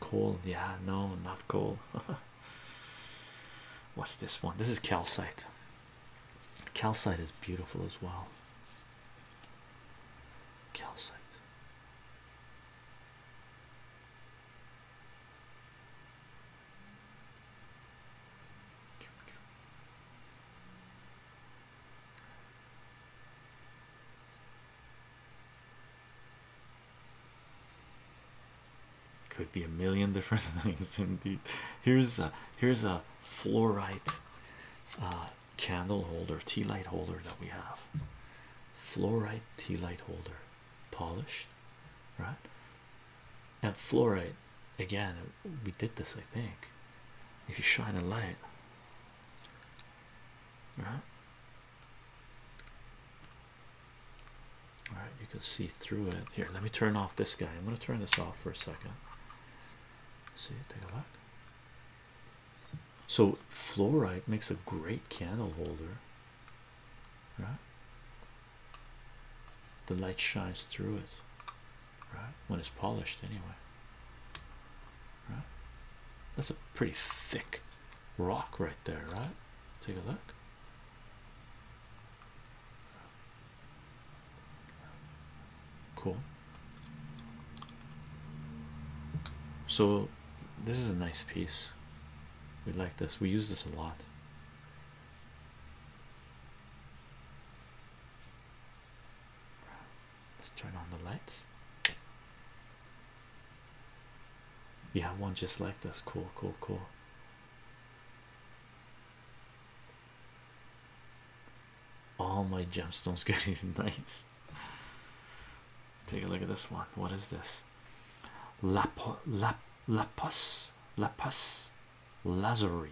Speaker 1: Coal, yeah, no, not coal. What's this one? This is calcite. Calcite is beautiful as well. Calcite. Could be a million different things, indeed. Here's a here's a fluorite uh, candle holder, tea light holder that we have. Fluorite tea light holder, polished, right? And fluorite again. We did this, I think. If you shine a light, right? all right you can see through it here let me turn off this guy i'm going to turn this off for a second
Speaker 2: see take a look
Speaker 1: so fluorite makes a great candle holder right the light shines through it right when it's polished anyway right that's a pretty thick rock right there right take a look Cool. So, this is a nice piece. We like this. We use this a lot. Let's turn on the lights. We have one just like this. Cool, cool, cool. All my gemstones goodies, nice. Take a look at this one. What is this? Lapo, lap, lapus, lapus, lazuri,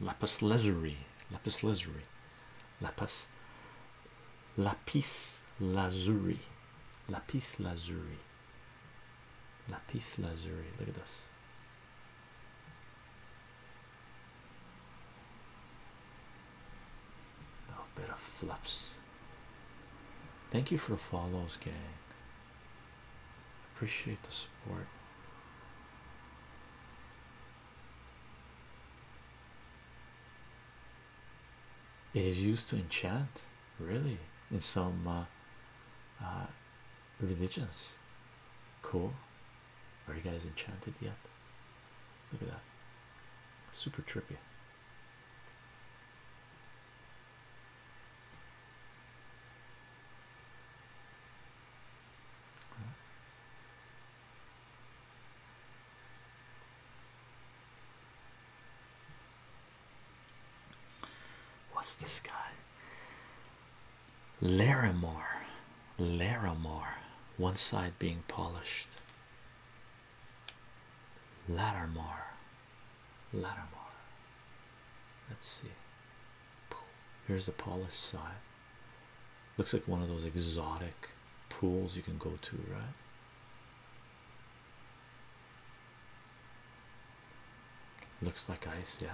Speaker 1: lapis lazuri, lapis lazuri, lapis, lapis lapis lazuri. Lapis lazuli. Look at this. A oh, bit of fluffs. Thank you for the follows, gang. Appreciate the support. It is used to enchant, really, in some uh, uh, religions. Cool. Are you guys enchanted yet? Look at that. Super trippy. What's this guy? Larimore, Larimore, one side being polished. Lattimore, Lattimore. Let's see. Here's the polished side. Looks like one of those exotic pools you can go to, right? Looks like ice, yeah.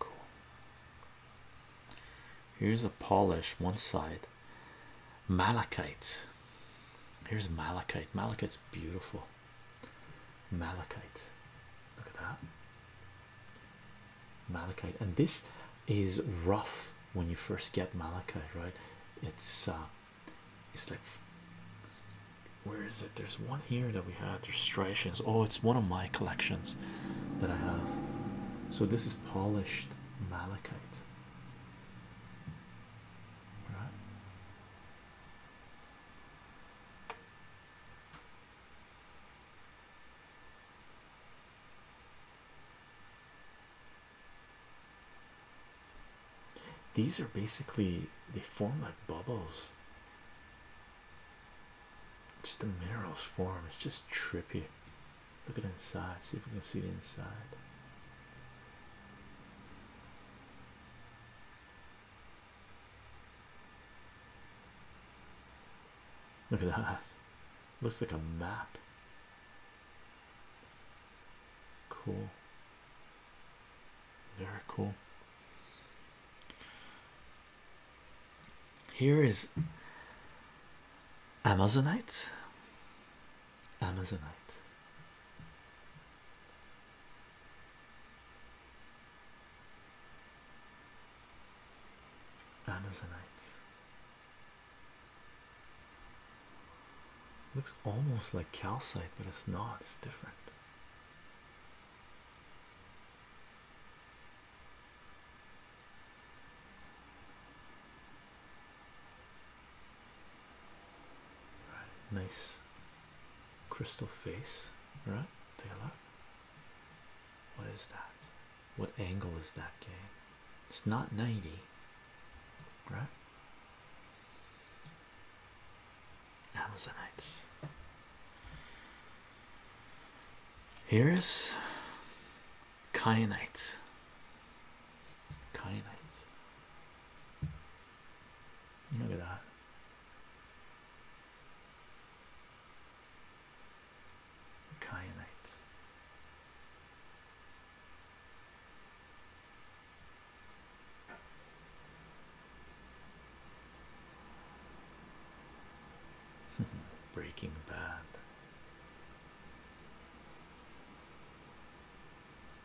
Speaker 1: Cool. Here's a polish one side malachite here's malachite malachite's beautiful malachite look at that malachite and this is rough when you first get malachite right it's uh it's like where is it there's one here that we had there's striations oh it's one of my collections that i have so this is polished malachite these are basically they form like bubbles. Just the minerals form, it's just trippy. Look at inside. See if we can see the inside. Look at that. Looks like a map. Cool. Very cool. Here is Amazonite. Amazonite. Amazonite looks almost like calcite, but it's not, it's different nice crystal face, right? Take What is that? What angle is that game? It's not 90, right?
Speaker 2: Amazonites.
Speaker 1: Here is kyanite. Kyanites.
Speaker 2: Look at that. Kyanite.
Speaker 1: Breaking Bad.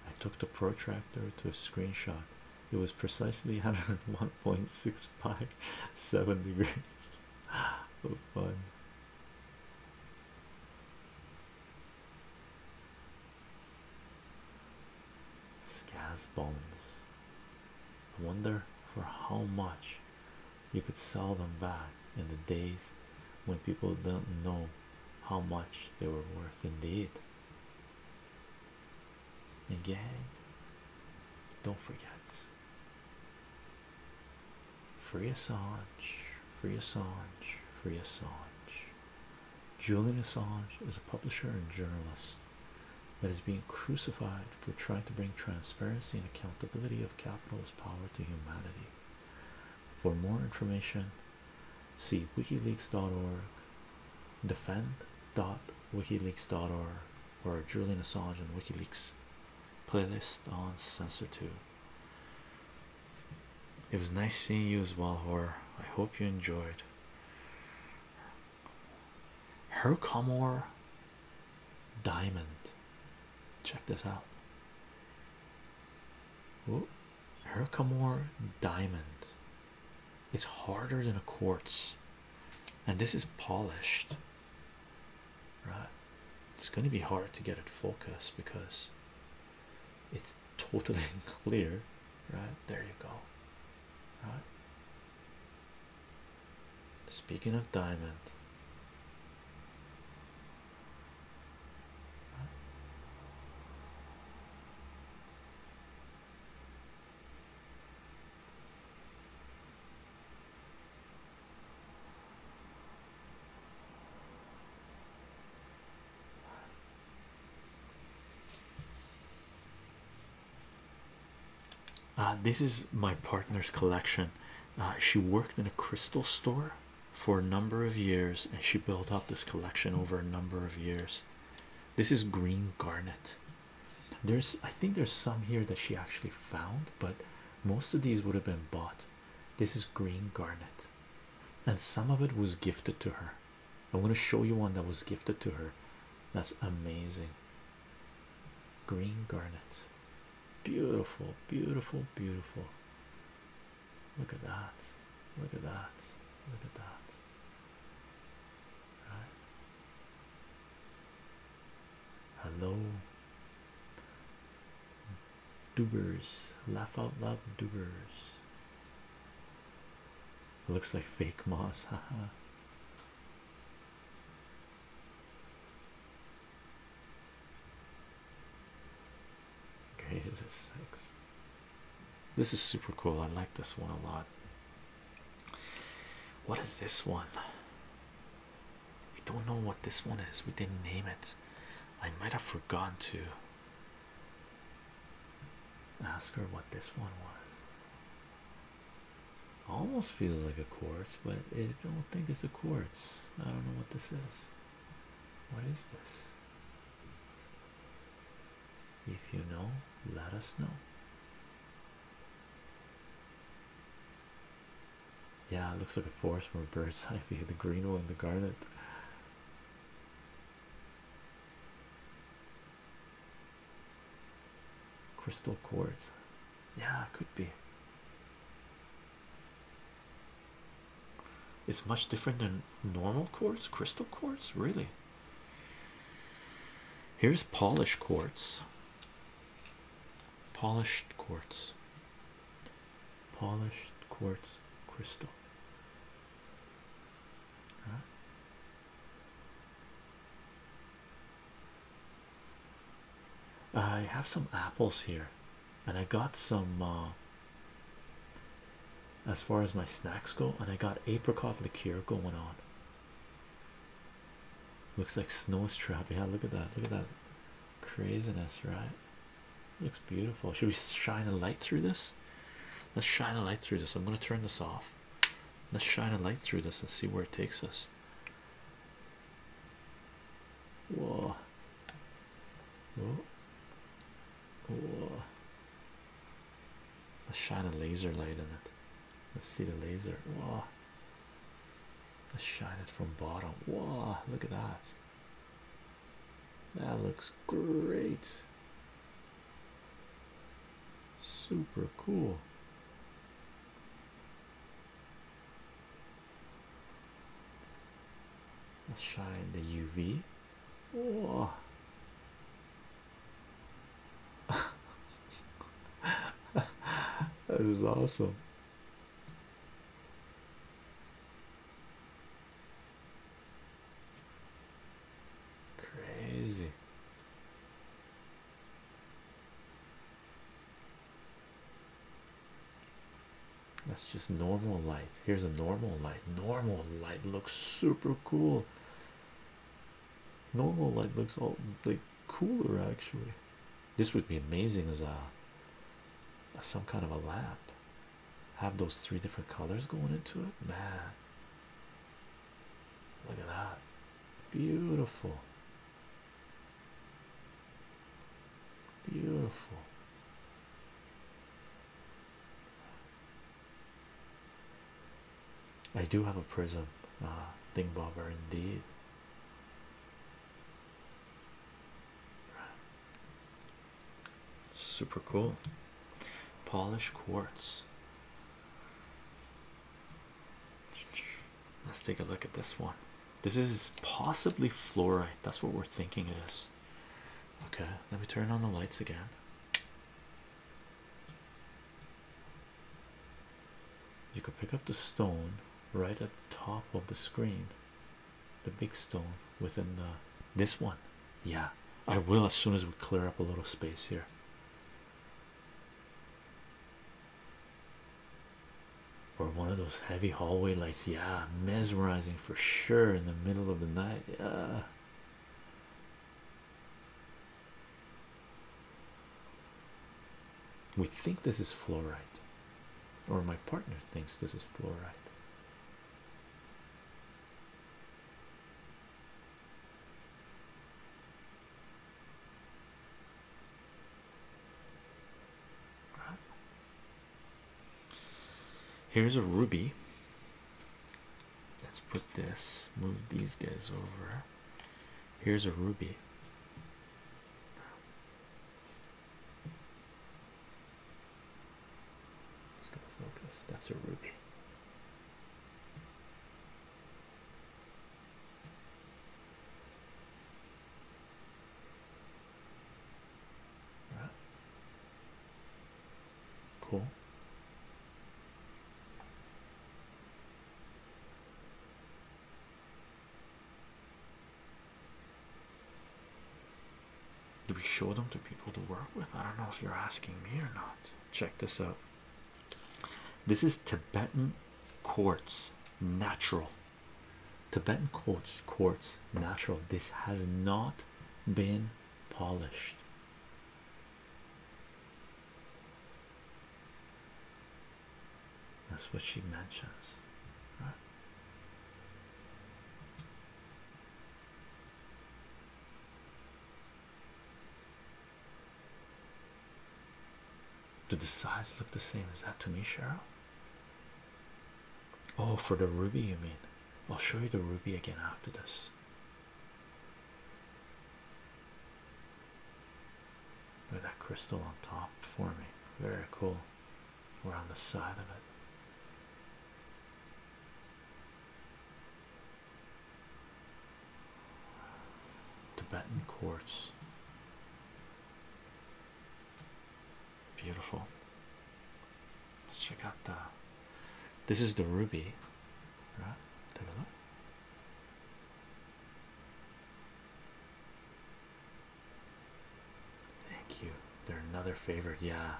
Speaker 1: I took the protractor to a screenshot. It was precisely 101.657 degrees. oh, fun. Scaz bones. I wonder for how much you could sell them back in the days when people did not know how much they were worth indeed again don't forget free Assange free Assange free Assange Julian Assange is a publisher and journalist that is being crucified for trying to bring transparency and accountability of capitalist power to humanity. For more information, see wikileaks.org defend.wikileaks.org or Julian Assange and WikiLeaks playlist on Censor2. It was nice seeing you as well, Horror. I hope you enjoyed. Hercomore Diamond. Check this out. Ooh, Herkimer diamond. It's harder than a quartz, and this is polished. Right, it's going to be hard to get it focused because it's totally clear. Right there, you go. Right. Speaking of diamond, uh, this is my partner's collection. Uh, she worked in a crystal store for a number of years and she built up this collection over a number of years this is green garnet there's i think there's some here that she actually found but most of these would have been bought this is green garnet and some of it was gifted to her i'm going to show you one that was gifted to her that's amazing green garnet beautiful beautiful beautiful Look at that. Look at that.
Speaker 2: Look at that. Right.
Speaker 1: Hello. Dubers. Laugh out loud dubers. Looks like fake moss, haha. Graded as six. This is super cool. I like this one a lot. What is this one? We don't know what this one is. We didn't name it. I might have forgotten to ask her what this one was. Almost feels like a quartz, but I don't think it's a quartz. I don't know what this is. What is this? If you know, let us know. Yeah, it looks like a forest from a bird's eye view. The green one, the garnet. Crystal quartz. Yeah, could be. It's much different than normal quartz, crystal quartz, really. Here's polished quartz, polished quartz, polished quartz crystal. I have some apples here and I got some uh, as far as my snacks go, and I got apricot liqueur going on. Looks like snow strap. Yeah, look at that. Look at that craziness, right? Looks beautiful. Should we shine a light through this? Let's shine a light through this. I'm gonna turn this off. Let's shine a light through this and see where it takes us. Whoa, Let's oh. shine a laser light on it. Let's see the laser. Wow. Let's shine it from bottom. Wow, look at that. That looks great. Super cool. Let's shine the UV. Whoa. this is awesome.
Speaker 2: Crazy.
Speaker 1: That's just normal life. Here's a normal light. Normal light looks super cool. Normal light looks all like cooler actually. This would be amazing as a some kind of a lamp. Have those three different colors going into it, man. Look at that, beautiful,
Speaker 2: beautiful.
Speaker 1: I do have a prism, uh, thing indeed. Super cool. polished quartz. Let's take a look at this one. This is possibly fluorite. That's what we're thinking it is. Okay, let me turn on the lights again. You can pick up the stone right at the top of the screen, the big stone within the, this one. Yeah, I will as soon as we clear up a little space here. Or one of those heavy hallway lights, yeah, mesmerizing for sure in the middle of the night. Yeah, we think this is fluorite, or my partner thinks this is fluorite. Here's a ruby. Let's put this, move these guys over. Here's a ruby. Let's go focus. That's a ruby. Cool. Do we show them to people to work with? I don't know if you're asking me or not. Check this out. This is Tibetan quartz natural. Tibetan quartz quartz natural. This has not been polished that's what she mentions do the sides look the same is that to me Cheryl oh for the ruby you mean I'll show you the ruby again after this Look at that crystal on top for me. Very cool. We're on the side of it. Tibetan quartz. Beautiful. Let's check out the. This is the ruby, right? Take a look. Thank you. They're another favorite, yeah.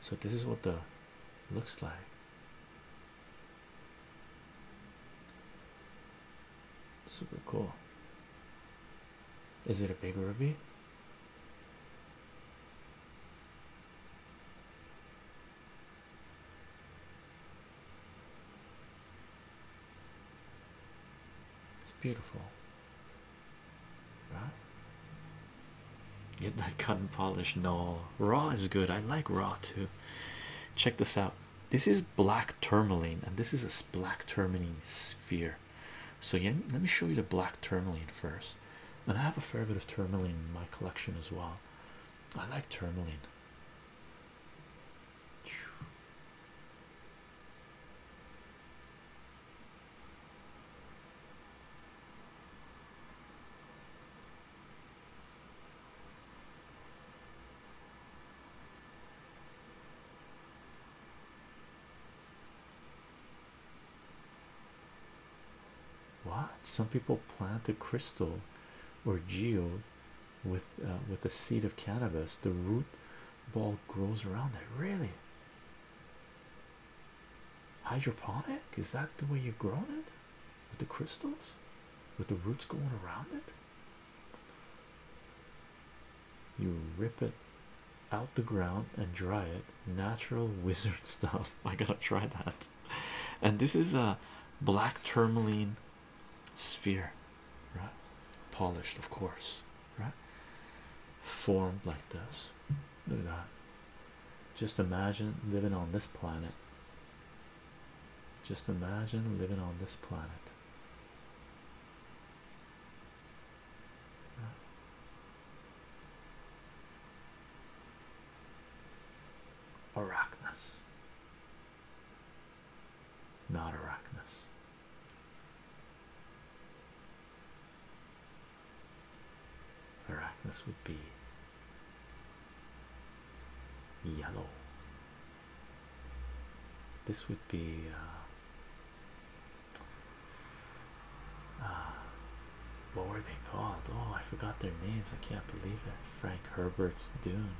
Speaker 1: So this is what the looks like. Super cool. Is it a big ruby? It's beautiful, right? Get that cotton polish. No, raw is good. I like raw too. Check this out. This is black tourmaline, and this is a black tourmaline sphere. So, again, let me show you the black tourmaline first and I have a fair bit of tourmaline in my collection as well. I like tourmaline. What some people plant a crystal or geode with uh, with a seed of cannabis, the root ball grows around it. Really, hydroponic is that the way you've grown it with the crystals, with the roots going around it? You rip it out the ground and dry it natural wizard stuff. I gotta try that. And this is a black tourmaline sphere, right? Polished, of course, right? Formed like this. Look at that. Just imagine living on this planet. Just imagine living on this planet. Arachnus. Not Arachnus. Arachnus would be yellow. This would be uh, uh, what were they called? Oh, I forgot their names. I can't believe it. Frank Herbert's Dune,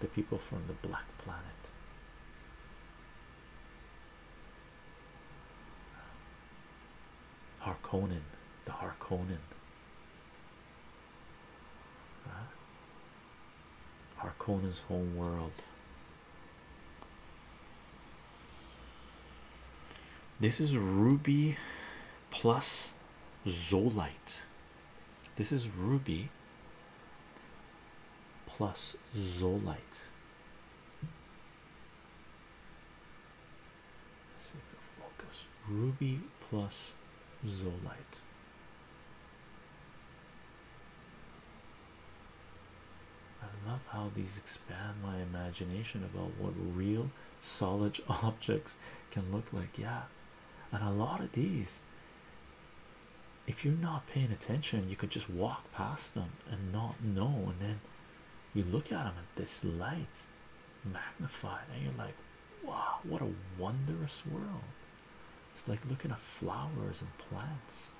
Speaker 1: the people from the Black Planet. Harkonnen, the Harkonnen. Harkonnen's home world. This is Ruby plus Zolite. This is ruby plus Zolite.
Speaker 2: Let's see if it'll
Speaker 1: Ruby plus Zolite. I love how these expand my imagination about what real solid objects can look like. Yeah, and a lot of these, if you're not paying attention, you could just walk past them and not know, and then you look at them at this light magnified, and you're like, Wow, what a wondrous world! It's like looking at flowers and plants.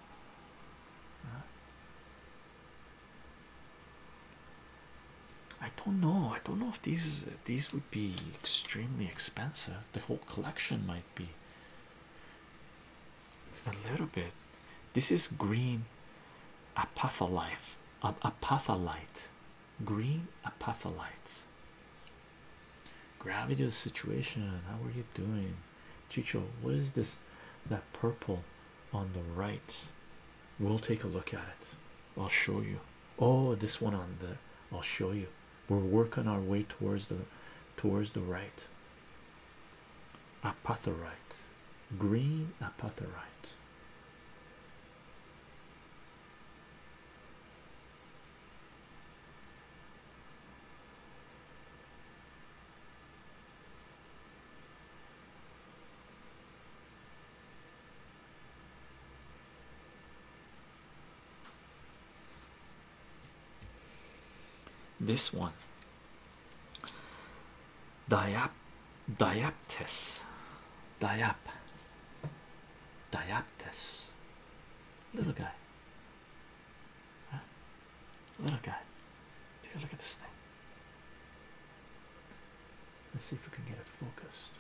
Speaker 1: I don't know. I don't know if these these would be extremely expensive. The whole collection might be a little bit. This is green apatholite. Apatholite. Green apatholites. Gravity of the situation. How are you doing? Chicho, what is this? That purple on the right. We'll take a look at it. I'll show you. Oh, this one on the. I'll show you. We're working our way towards the towards the right. Apatherite. Green apatherite. This one, Diap, Diaptis, Diap, Diaptis, little guy, huh? little guy. Take a look at this thing.
Speaker 2: Let's see if we can get it focused.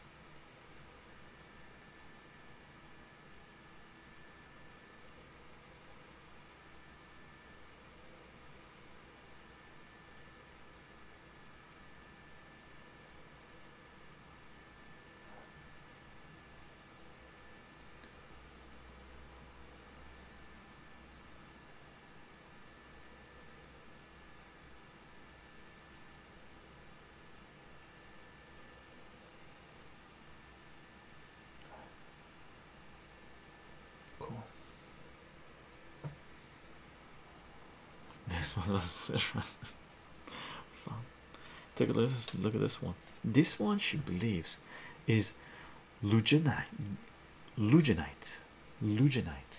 Speaker 2: Cool.
Speaker 1: This one doesn't sit right. Fun. Take a Look at this one. This one she believes is Lugenite. Lugenite. Lugenite.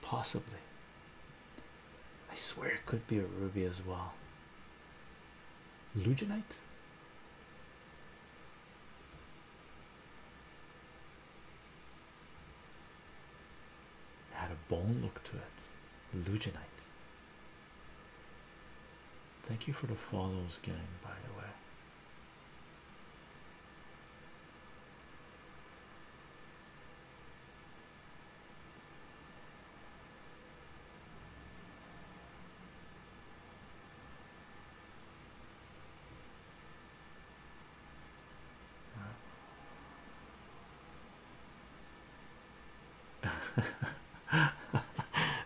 Speaker 1: Possibly. I swear it could be a ruby as well. Luginite? had a bone look to it. Luginite. Thank you for the follows, gang, by the way.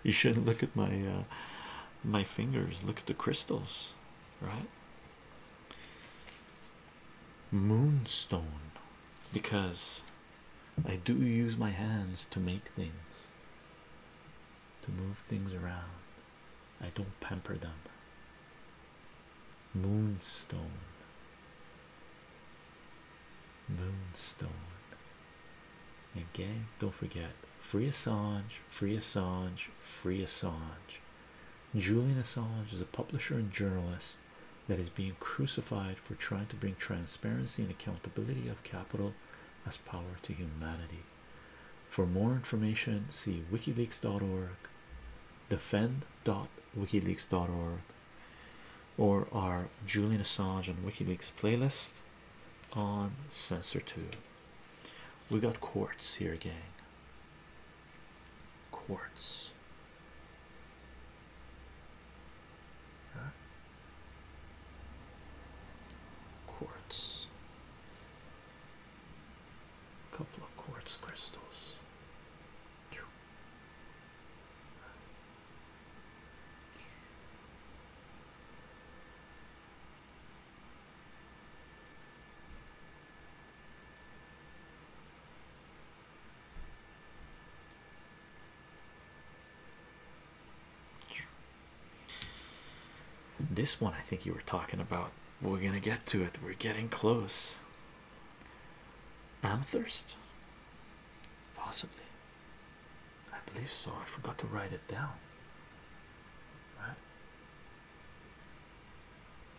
Speaker 1: you shouldn't look at my uh, my fingers look at the crystals right moonstone because I do use my hands to make things, to move things around. I don't pamper them. Moonstone, moonstone. And gang, don't forget free Assange, free Assange, free Assange. Julian Assange is a publisher and journalist that is being crucified for trying to bring transparency and accountability of capital as power to humanity. For more information, see wikileaks.org, defend.wikileaks.org, or our Julian Assange and WikiLeaks playlist on Censor 2. We got quartz here, gang quartz.
Speaker 2: Huh? Quartz. couple of quartz crystals.
Speaker 1: This one, I think you were talking about. We're gonna get to it. We're getting close. Amethyst, possibly. I believe so. I forgot to write it down. Right?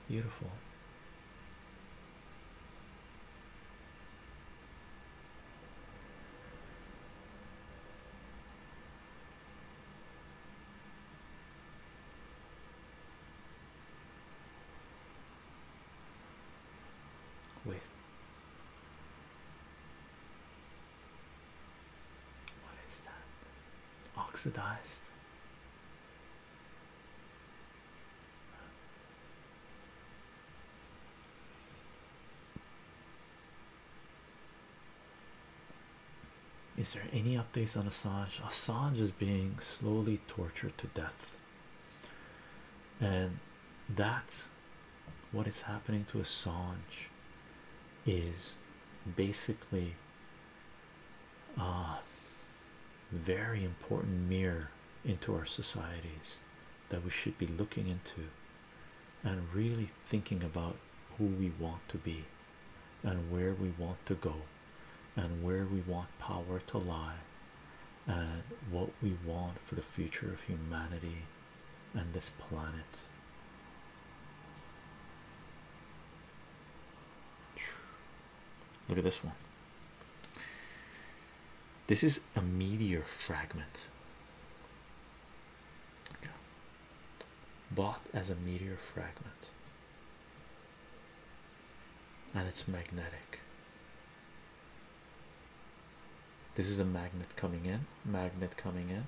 Speaker 1: Beautiful. With what is that? Oxidized is there any updates on Assange? Assange is being slowly tortured to death, and that what is happening to Assange is basically uh, very important mirror into our societies that we should be looking into and really thinking about who we want to be and where we want to go and where we want power to lie and what we want for the future of humanity and this planet Look at this one. This is a meteor fragment. Okay. Bought as a meteor fragment, and it's magnetic. This is a magnet coming in, magnet coming in,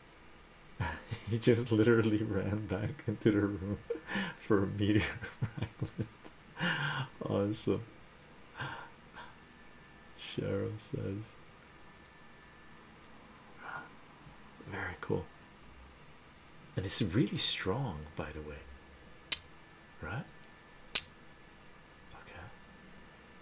Speaker 1: he just literally ran back into the room for a meteor fragment. Awesome. Cheryl says, very cool. And it's really strong, by the way. Right? Okay.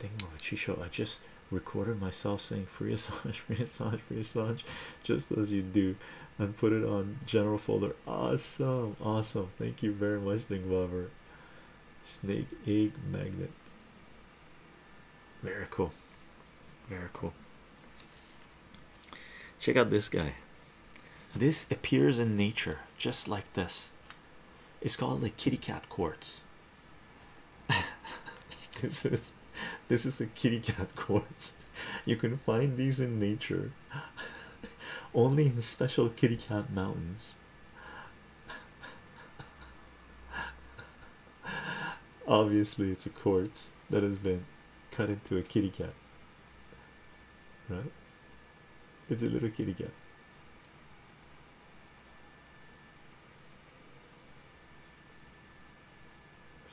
Speaker 1: Think of a Chisho. I just recorded myself saying free Assange, free Assange, free Assange, just as you do and put it on general folder. Awesome, awesome. Thank you very much, Lover. Snake egg magnet. Very cool. Very cool. Check out this guy. This appears in nature just like this. It's called like kitty cat quartz. this is This is a kitty cat quartz. You can find these in nature, only in special kitty cat mountains. Obviously, it's a quartz that has been cut into a kitty cat. Right? It's a little kitty cat.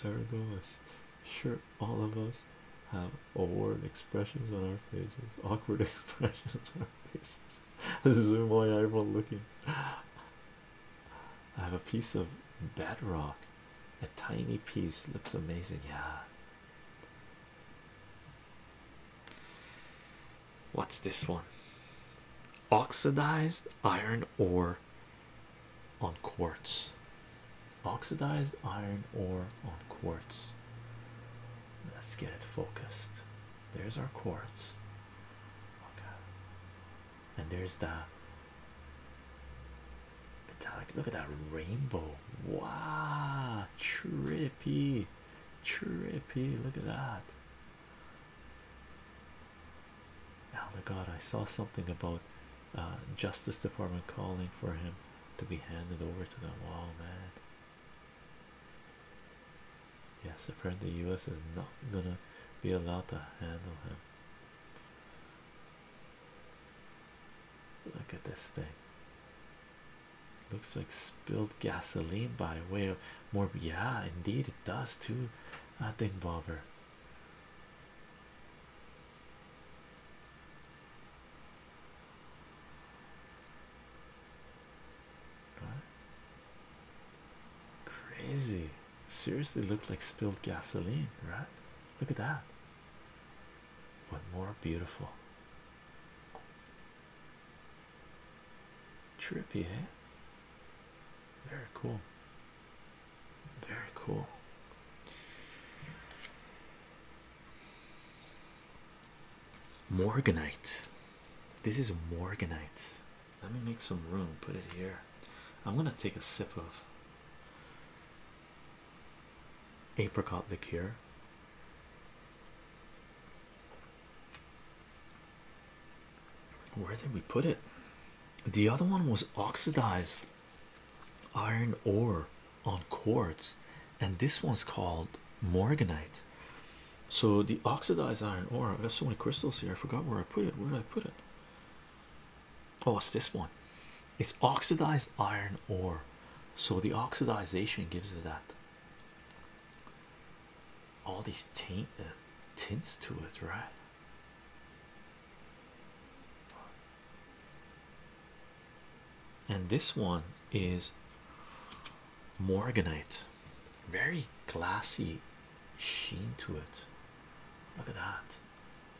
Speaker 1: Ergo, is sure all of us have awkward expressions on our faces, awkward expressions on our faces. Zoom eye eyebrow looking. I have a piece of bedrock, a tiny piece. Looks amazing, yeah. What's this one? Oxidized iron ore on quartz oxidized iron ore on quartz let's get it focused there's our quartz okay and there's that look at that rainbow wow trippy trippy look at that Elder God, I saw something about uh, Justice Department calling for him to be handed over to them. Wow, man. Yes, apparently the U.S. is not gonna be allowed to handle him. Look at this thing. Looks like spilled gasoline by way of more. Yeah, indeed, it does too. I think, Bobber. Crazy. Seriously looked like spilled gasoline, right? Look at that. But more beautiful. Trippy, eh? Very cool. Very cool. Morganite. This is Morganite. Let me make some room, put it here. I'm gonna take a sip of apricot liqueur. Where did we put it? The other one was oxidized iron ore on quartz, and this one's called morganite. So the oxidized iron ore. i got so many crystals here. I forgot where I put it. Where did I put it? Oh, it's this one. It's oxidized iron ore. So the oxidization gives it that. All these taint uh, tints to it, right? and this one is morganite very glassy sheen to it look at that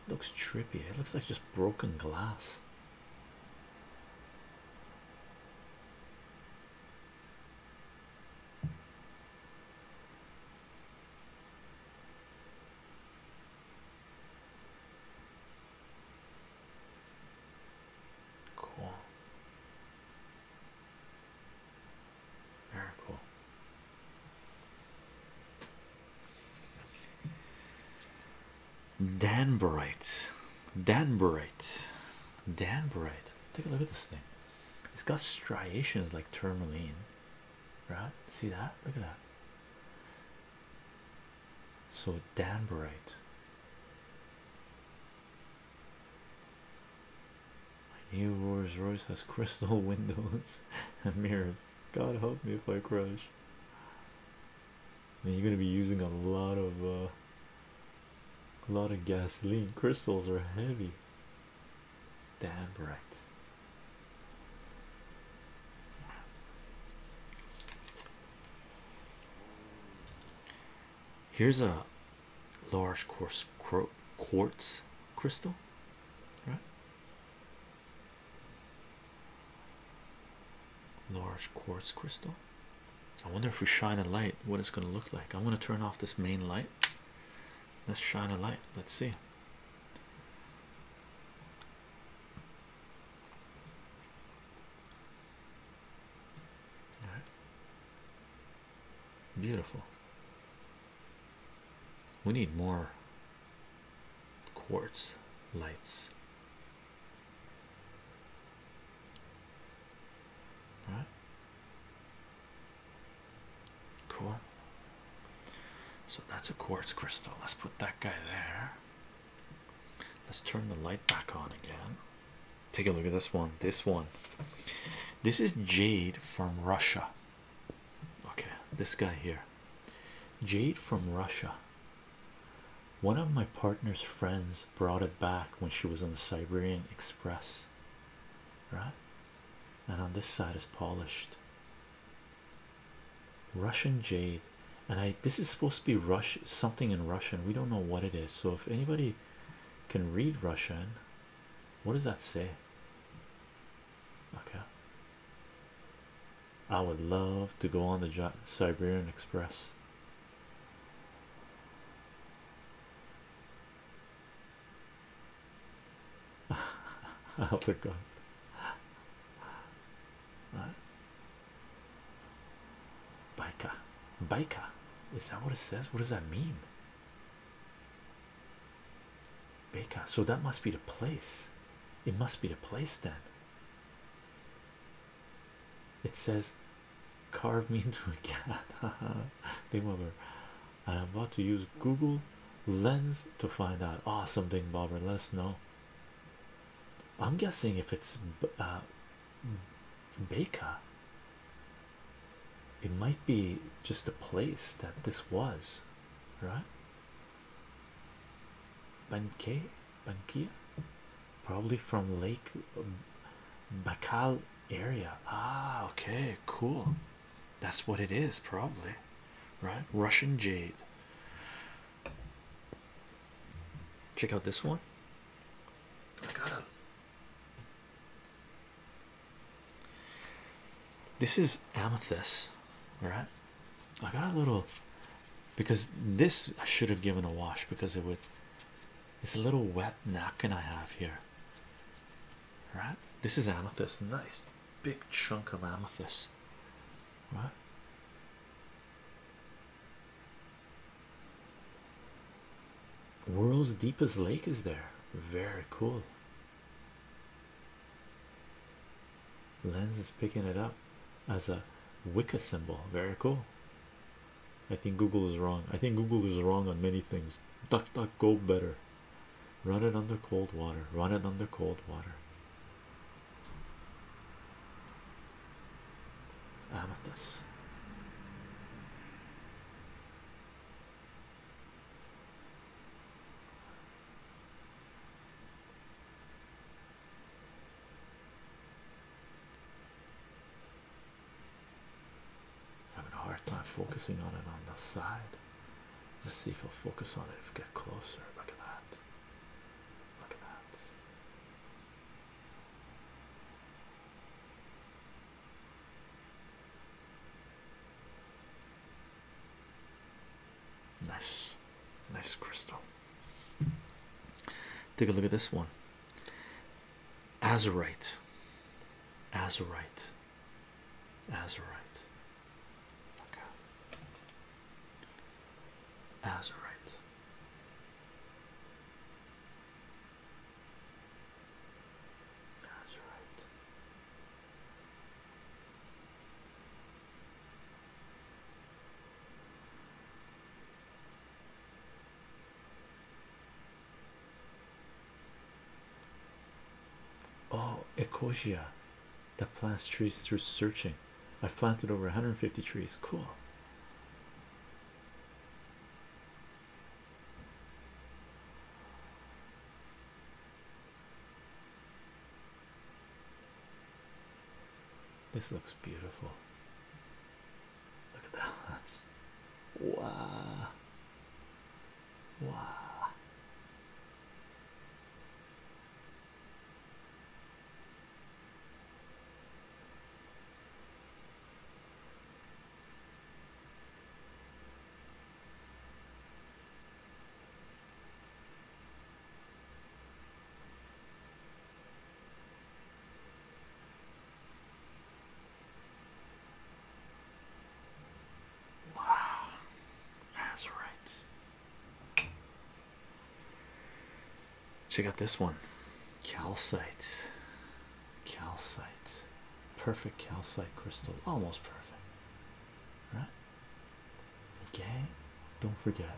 Speaker 1: looks trippy it looks like just broken glass Cool. Very cool. Danbarite, Danbarite, Danbarite. Take a look at this thing. It's got striations like tourmaline, right? See that? Look at that. So bright. My new Rolls Royce has crystal windows and mirrors. God help me if I crash. I you're gonna be using a lot of uh, a lot of gasoline. Crystals are heavy. Damn bright. Here's a large coarse quartz crystal, right? Large quartz crystal. I wonder if we shine a light, what it's going to look like. I want to turn off this main light. Let's shine a light. Let's see. Beautiful. We need more quartz lights. Right. Cool. So that's a quartz crystal. Let's put that guy there. Let's turn the light back on again. Take a look at this one. This one. This is jade from Russia. Okay, this guy here. Jade from Russia. One of my partner's friends brought it back when she was on the Siberian Express. Right? And on this side is polished. Russian jade, and I this is supposed to be Rush something in Russian. We don't know what it is. So if anybody can read Russian, what does that say? Okay. I would love to go on the Siberian Express. I hope they're right? Biker, is that what it says? What does that mean? Baker, so that must be the place. It must be the place then. It says, "Carve me into a cat." Ding I am about to use Google Lens to find out. Awesome, Ding bobber. Let us know. I'm guessing if it's uh, Baker, it might be just a place that this was, right? Banke, Bankia, probably from Lake um, Bacal area. Ah, okay, cool. That's what it is, probably, right? Russian jade. Check out this one. I got a this is amethyst, right? I got a little because this I should have given a wash because it would it's a little wet napkin I have here, right? This is amethyst, nice big chunk of amethyst. Right? World's deepest lake is there. Very cool. Lens is picking it up as a Wicca symbol. Very cool. I think Google is wrong. I think Google is wrong on many things. Duck, duck, go better. Run it under cold water. Run it under cold water. Amethyst. Having a hard time focusing on it on the side. Let's see if I'll focus on it if we get closer. Look at that. Look at that. Nice, nice crystal. Take a look at this one. Azurite, azurite, azurite. Okay. That's right. That's all right. Oh, Ecosia, the plants trees through searching. I planted over 150 trees. Cool. This looks beautiful. Look at that. wow. Wow. Wow, that's right. Check out this one calcite, calcite, perfect calcite crystal, almost perfect, right? Again, don't forget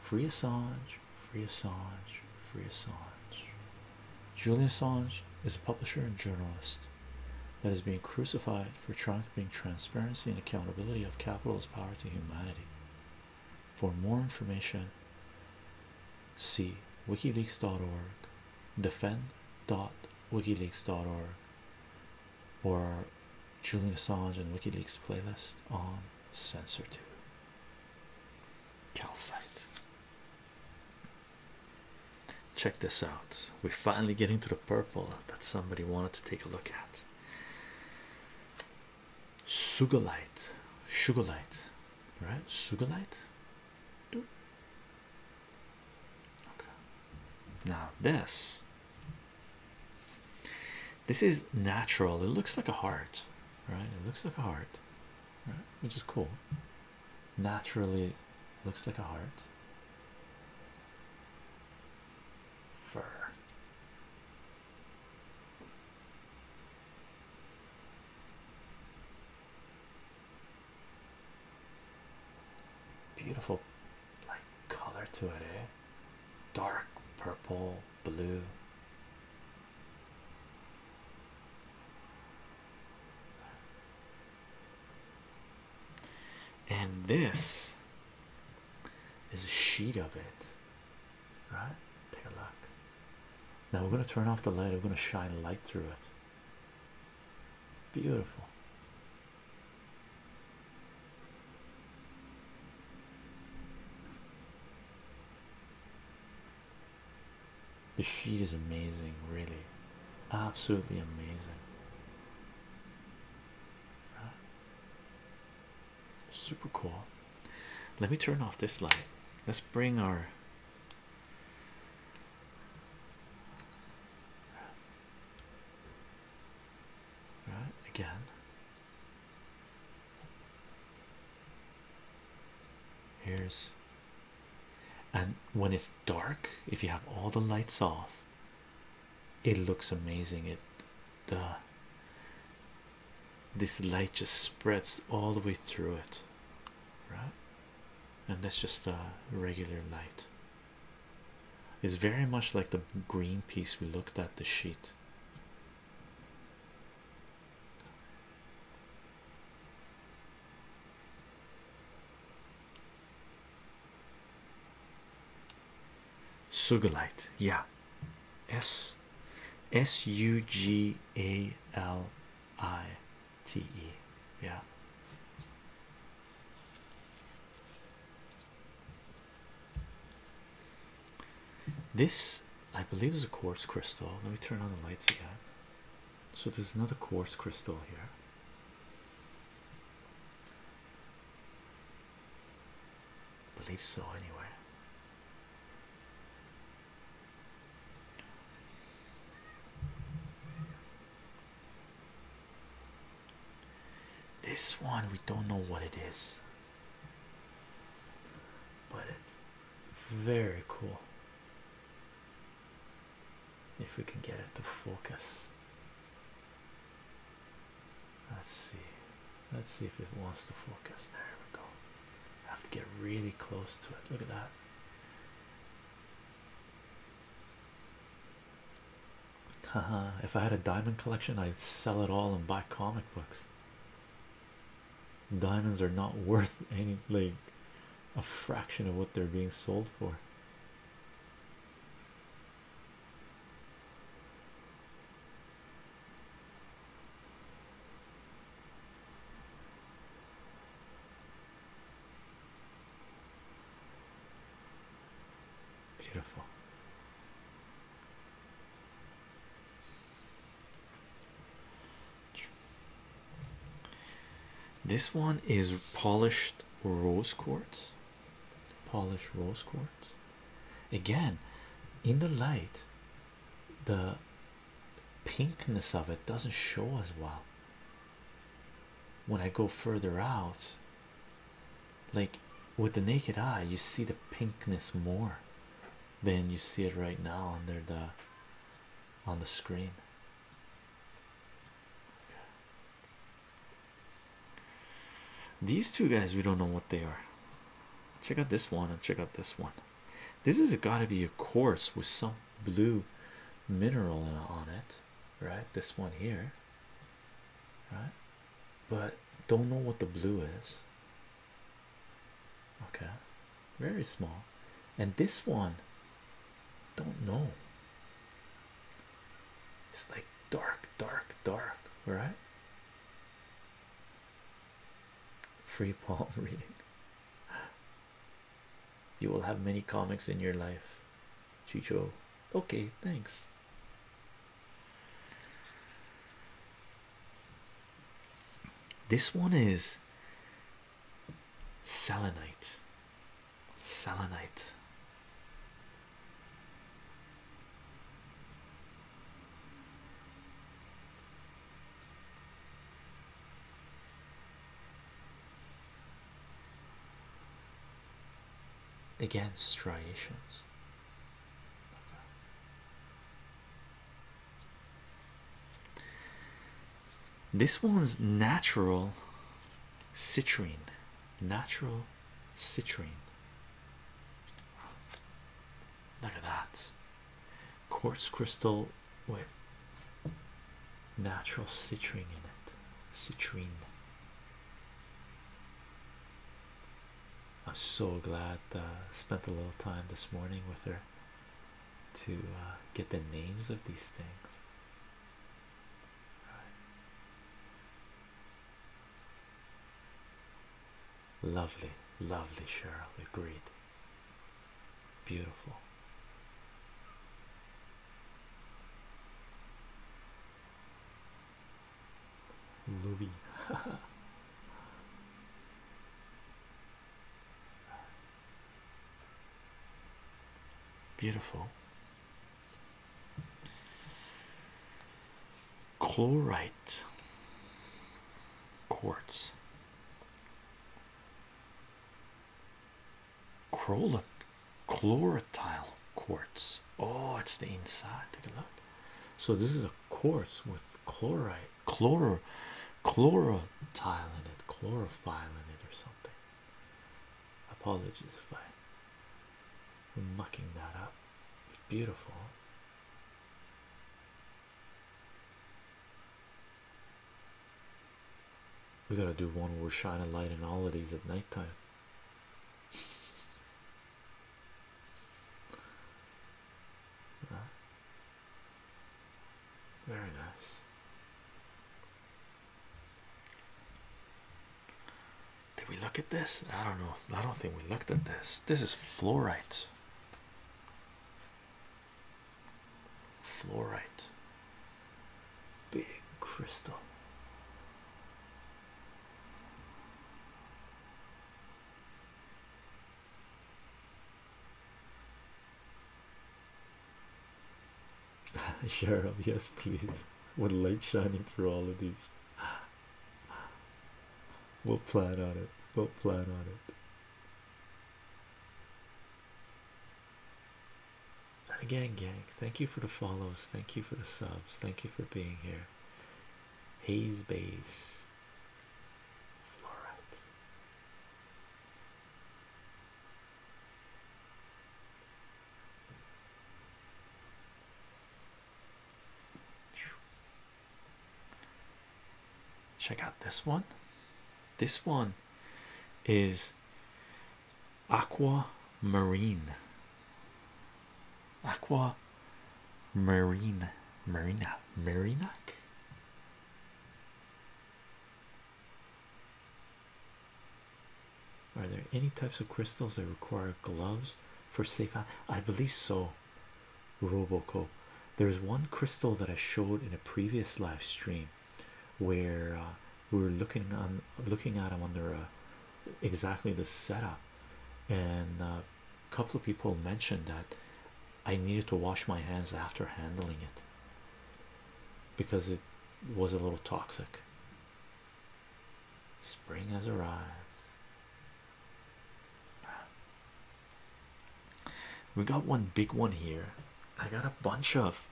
Speaker 1: free Assange, free Assange, free Assange. Julian Assange is a publisher and journalist that is being crucified for trying to bring transparency and accountability of capital's power to humanity. For more information, see wikileaks.org, defend.wikileaks.org, or Julian Assange and WikiLeaks playlist on Censor 2. Calcite. Check this out. We're finally getting to the purple that somebody wanted to take a look at. Sugalite, Sugalite, right? Sugalite.
Speaker 2: Okay.
Speaker 1: Now this. This is natural. It looks like a heart, right? It looks like a heart, right? Which is cool. Naturally, looks like a heart. Fur. Beautiful like color to it, eh? Dark purple, blue. And this is a sheet of it
Speaker 2: right take a look
Speaker 1: now we're going to turn off the light we're going to shine a light through it beautiful the sheet is amazing really absolutely amazing right? super cool. Let me turn off this light. Let's bring our right again. Here's and when it's dark, if you have all the lights off, it looks amazing. It the this light just spreads all the way through it, right? And that's just a regular light. It's very much like the green piece we looked at the sheet. Sugalite, yeah. S S U G A L I T E, yeah. This, I believe, is a quartz crystal. Let me turn on the lights again. So, there's another quartz crystal here believe so, anyway. This one we don't know what it is, but it's very cool. If we can get it to focus, Let's see. Let's see if it wants to focus. There we go. I have to get really close to it. Look at that. if I had a diamond collection, I'd sell it all and buy comic books. Diamonds are not worth any like a fraction of what they're being sold for. Beautiful. This one is polished rose quartz. Polished rose quartz again in the light the pinkness of it doesn't show as well when i go further out like with the naked eye you see the pinkness more than you see it right now under the on the screen these two guys we don't know what they are Check out this one and check out this one. This has got to be a quartz with some blue mineral on it, right? This one here, right? But don't know what the blue is. Okay, very small. And this one, don't know. It's like dark, dark, dark, right? free palm reading. You will have many comics in your life, Chicho. Okay, thanks. This one is selenite. Selenite. Again, striations. This one's natural citrine, natural citrine. Look at that quartz crystal with natural citrine in it. Citrine. I'm so glad I uh, spent a little time this morning with her to uh, get the names of these things. Lovely, lovely, Cheryl. Agreed. Beautiful. Movie. Beautiful chlorite quartz Chlor chlorotile quartz oh it's the inside take a look so this is a quartz with chlorite chlor chlorotile in it chlorophyll in it or something apologies if i'm mucking that up but beautiful we gotta do one where we're shining light in all of these at nighttime. Uh,
Speaker 2: very nice.
Speaker 1: Did we look at this? I don't know. I don't think we looked at this. This is fluorite. Fluorite, big crystal. Sheriff, yes, please. With light shining through all of these, We'll plan on it. We'll plan on it. And again, gang, thank you for the follows. Thank you for the subs. Thank you for being here. Haze base. Fluorite. Check out this one. This one is aqua marine. Aqua marine, marina, marinac. Are there any types of crystals that require gloves for safe? I believe so. Roboco. There's one crystal that I showed in a previous live stream where uh, we were looking on looking at them under uh, exactly the setup, and uh, a couple of people mentioned that I needed to wash my hands after handling it because it was a little toxic. Spring has arrived we got one big one here i got a bunch of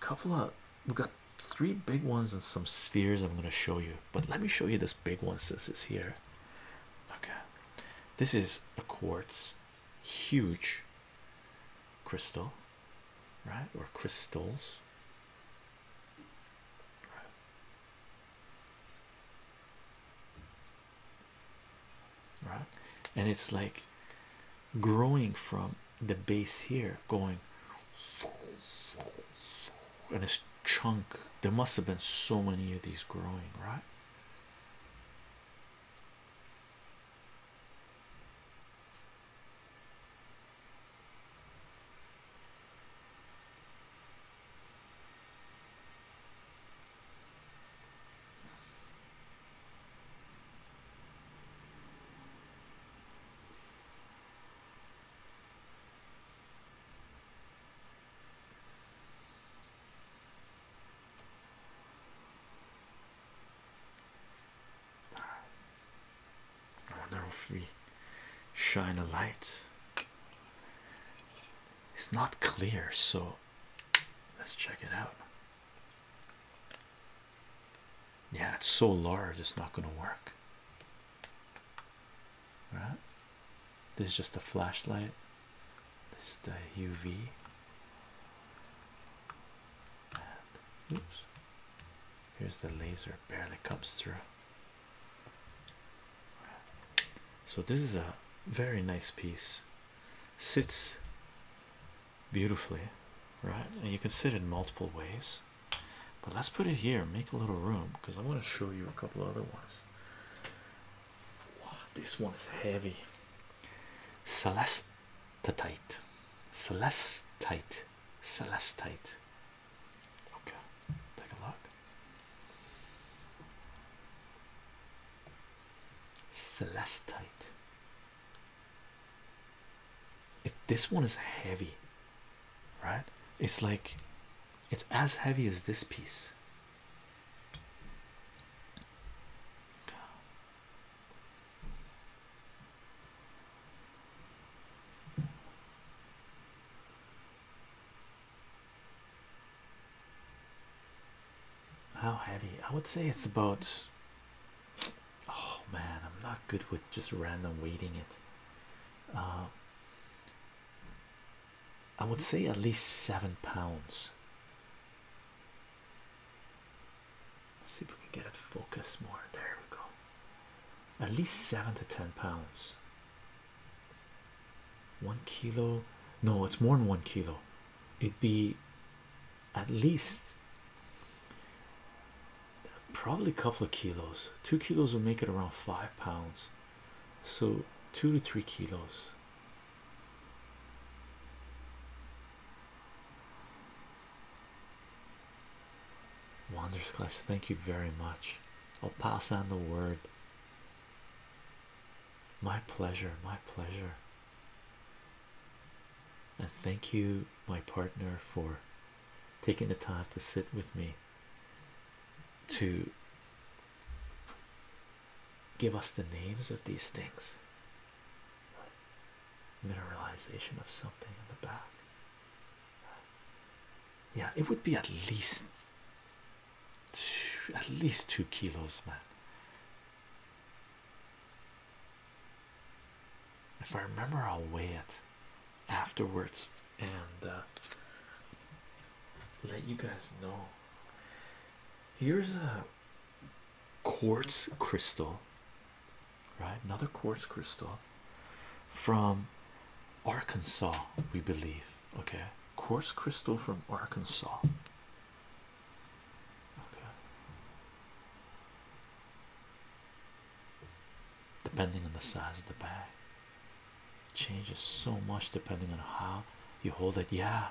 Speaker 1: couple of we got three big ones and some spheres i'm going to show you but let me show you this big one since it's here okay this is a quartz huge crystal right or crystals right and it's like growing from the base here going and it's chunk there must have been so many of these growing right I wonder if we shine a light it's not clear, so let's check it out. Yeah, it's so large, it's not going to work. Right? This is just a flashlight. This is the UV. oops. Here's the laser, barely comes through. So this is a very nice piece. Sits beautifully, right? And you can sit in multiple ways. But let's put it here, make a little room, because I want to show you a couple other ones. this one is heavy. Celestite, celestite, celestite. Okay, take a look. Celestite. If this one is heavy, right? It's like it's as heavy as this piece. How heavy? I would say it's about. Oh man, I'm not good with just random weighing it. Uh, I would say at least seven pounds. see if we can get it focus more. There we go. At least seven to ten pounds one kilo no it's more than one kilo it'd be at least probably a couple of kilos two kilos would make it around five pounds so two to three kilos wonders clash thank you very much i'll pass on the word my pleasure, my pleasure. And thank you, my partner, for taking the time to sit with me to give us the names of these things. Mineralization of something in the back. Yeah, it would be at least at least two kilos, man. If I remember, I'll weigh it afterwards and uh, let you guys know. Here's a quartz crystal, right? Another quartz crystal from Arkansas, we believe okay coarse crystal from Arkansas okay depending on the size of the bag changes so much depending on how you hold it yeah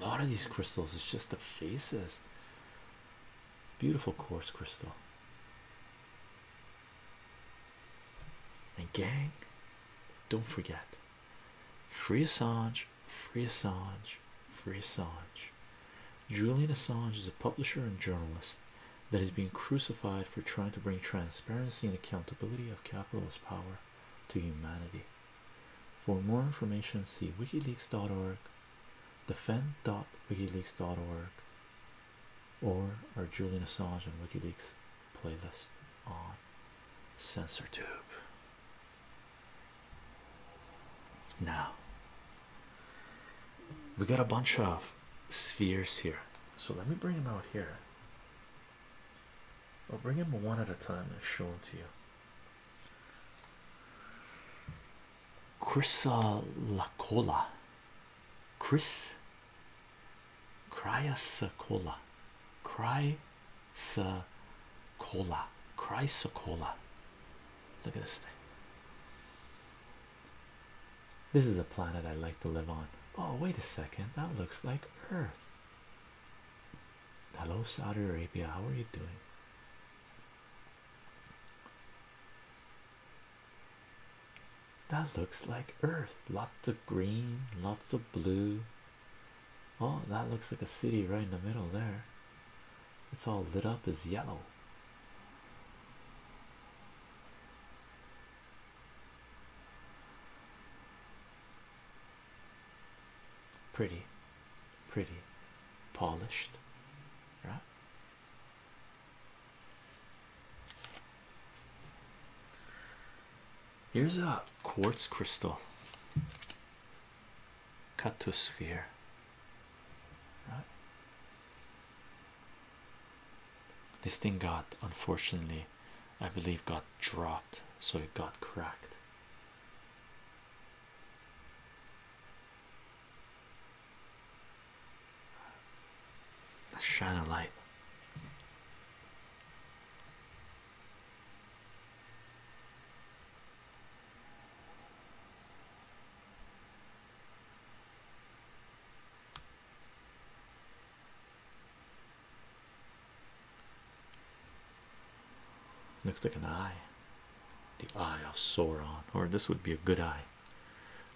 Speaker 1: a lot of these crystals it's just the faces beautiful coarse crystal and gang don't forget Free Assange, free Assange, free Assange. Julian Assange is a publisher and journalist that is being crucified for trying to bring transparency and accountability of capitalist power to humanity. For more information, see wikileaks.org, defend.wikileaks.org, or our Julian Assange on Wikileaks playlist on sensor tube now we got a bunch of spheres here so let me bring them out here I'll bring them one at a time and show them to you Chrysacola Chris Cryasacola Cry Chrysocolla. Chrysocolla. Look at this thing. This is a planet I like to live on. Oh, wait a second. That looks like Earth. Hello, Saudi Arabia. How are you doing? That looks like Earth. Lots of green, lots of blue, Oh, that looks like a city right in the middle there. It's all lit up as yellow. Pretty, pretty, polished, right? Here's a quartz crystal cut to a sphere. This thing got, unfortunately, I believe, got dropped, so it got cracked.
Speaker 2: Let's shine a light.
Speaker 1: Looks like an eye, the eye of Sauron, or this would be a good eye,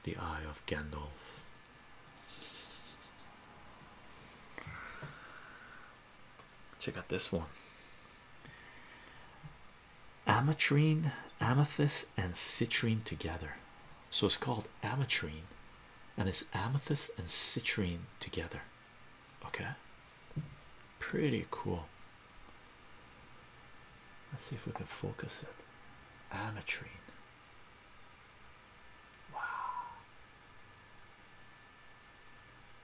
Speaker 1: the eye of Gandalf. Check out this one. Ametrine, amethyst, and citrine together. So it's called ametrine, and it's amethyst and citrine together. Okay, pretty cool. Let's see if we can focus it. Ametrine. Wow.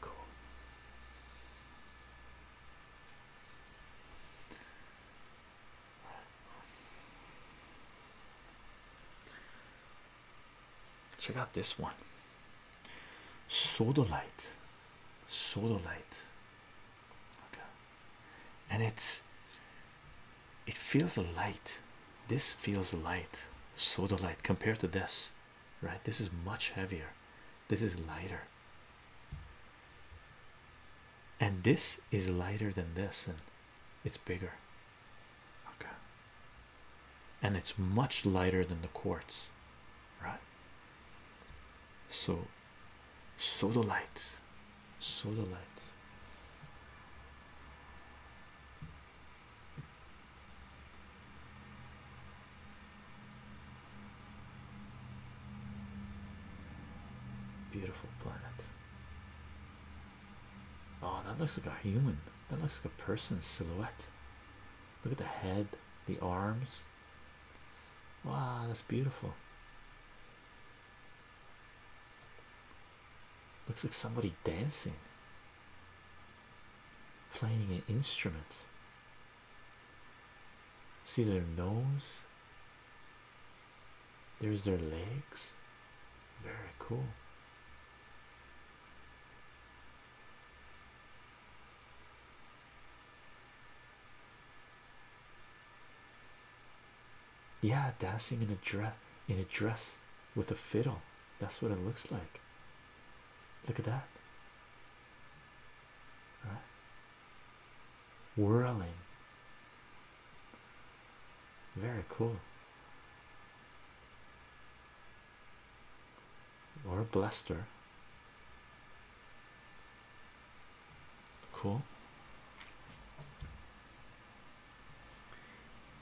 Speaker 1: Cool. Check out this one. Soda light. Soda light. Okay. And it's it feels light. This feels light. Soda light compared to this, right? This is much heavier. This is lighter, and this is lighter than this, and it's bigger. Okay, and it's much lighter than the quartz, right? So, sodalite, sodalite. Beautiful planet. Oh, that looks like a human. That looks like a person's silhouette. Look at the head, the arms. Wow, that's beautiful. Looks like somebody dancing, playing an instrument. See their nose. There's their legs. Very cool. Yeah, dancing in a dress in a dress with a fiddle. That's what it looks like. Look at that whirling. Very cool. Or blaster. Cool.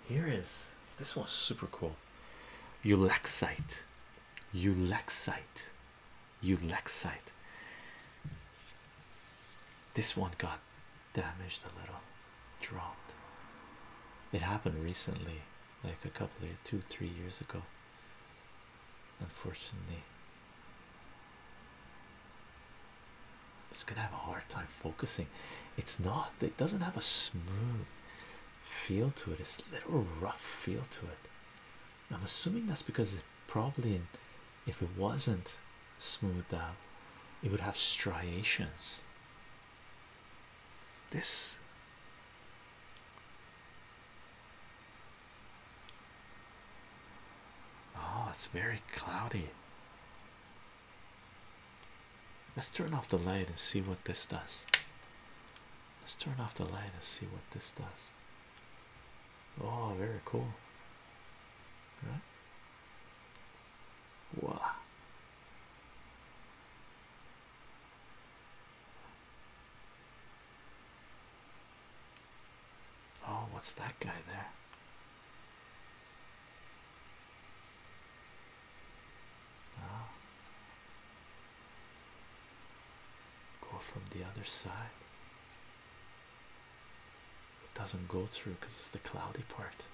Speaker 1: Here is this one's super cool. Ulexite Ulexite. Ulexite. This one got damaged a little, dropped. It happened recently, like a couple of two, three years ago. Unfortunately, it's gonna have a hard time focusing. It's not, it doesn't have a smooth feel to it, it's a little rough feel to it. I'm assuming that's because it probably, if it wasn't smoothed out, it would have striations. This oh, it's very cloudy. Let's turn off the light and see what this does. Let's turn off the light and see what this does. Oh, very cool. Right? Wow. Oh, what's that guy there? Oh. Go from the other side. It doesn't go through because it's the cloudy part.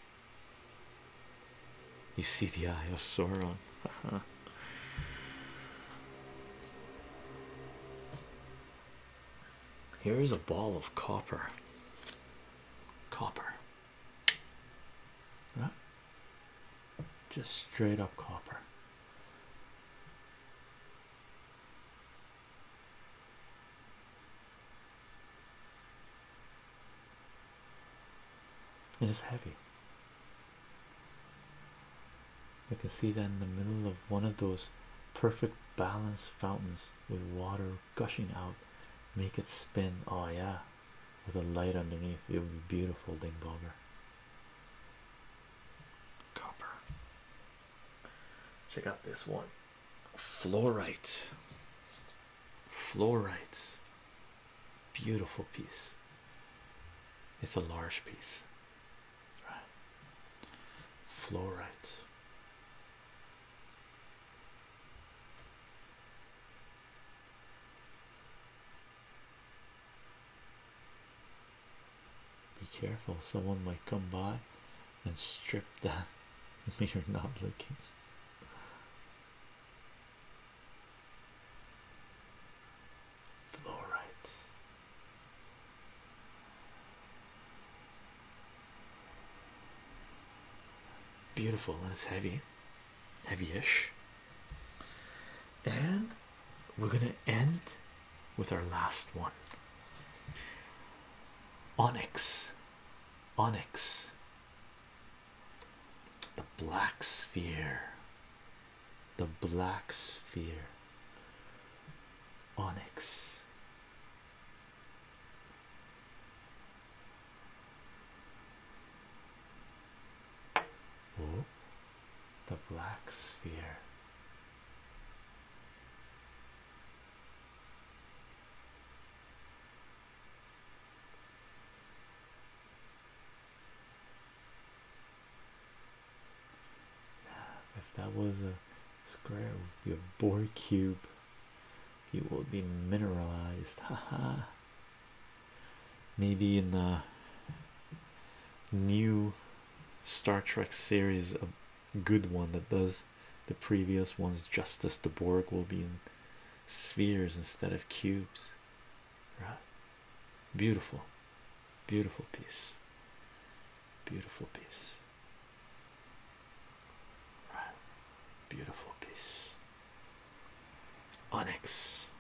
Speaker 1: You see the eye of Sauron. Here is a ball of copper. Copper. Just straight up copper. It is heavy. I can see that in the middle of one of those perfect balance fountains with water gushing out, make it spin. Oh, yeah, with a light underneath, it would be beautiful, Ding Bogger. Copper. Check out this one. Fluorite. Fluorite. Beautiful piece. It's a large piece. Right. Fluorite. Be careful, someone might come by and strip that when you're not looking.
Speaker 2: Fluorite.
Speaker 1: Beautiful and it's heavy, heavy ish. And we're gonna end with our last one onyx onyx the black sphere the black sphere onyx oh the black sphere. If that was a square, it would be a Bohr cube. It will be mineralized. Ha ha. Maybe in the new Star Trek series, a good one that does the previous ones justice. The Borg will be in spheres instead of cubes, right? Beautiful, beautiful piece, beautiful piece, right? Beautiful piece. Onyx,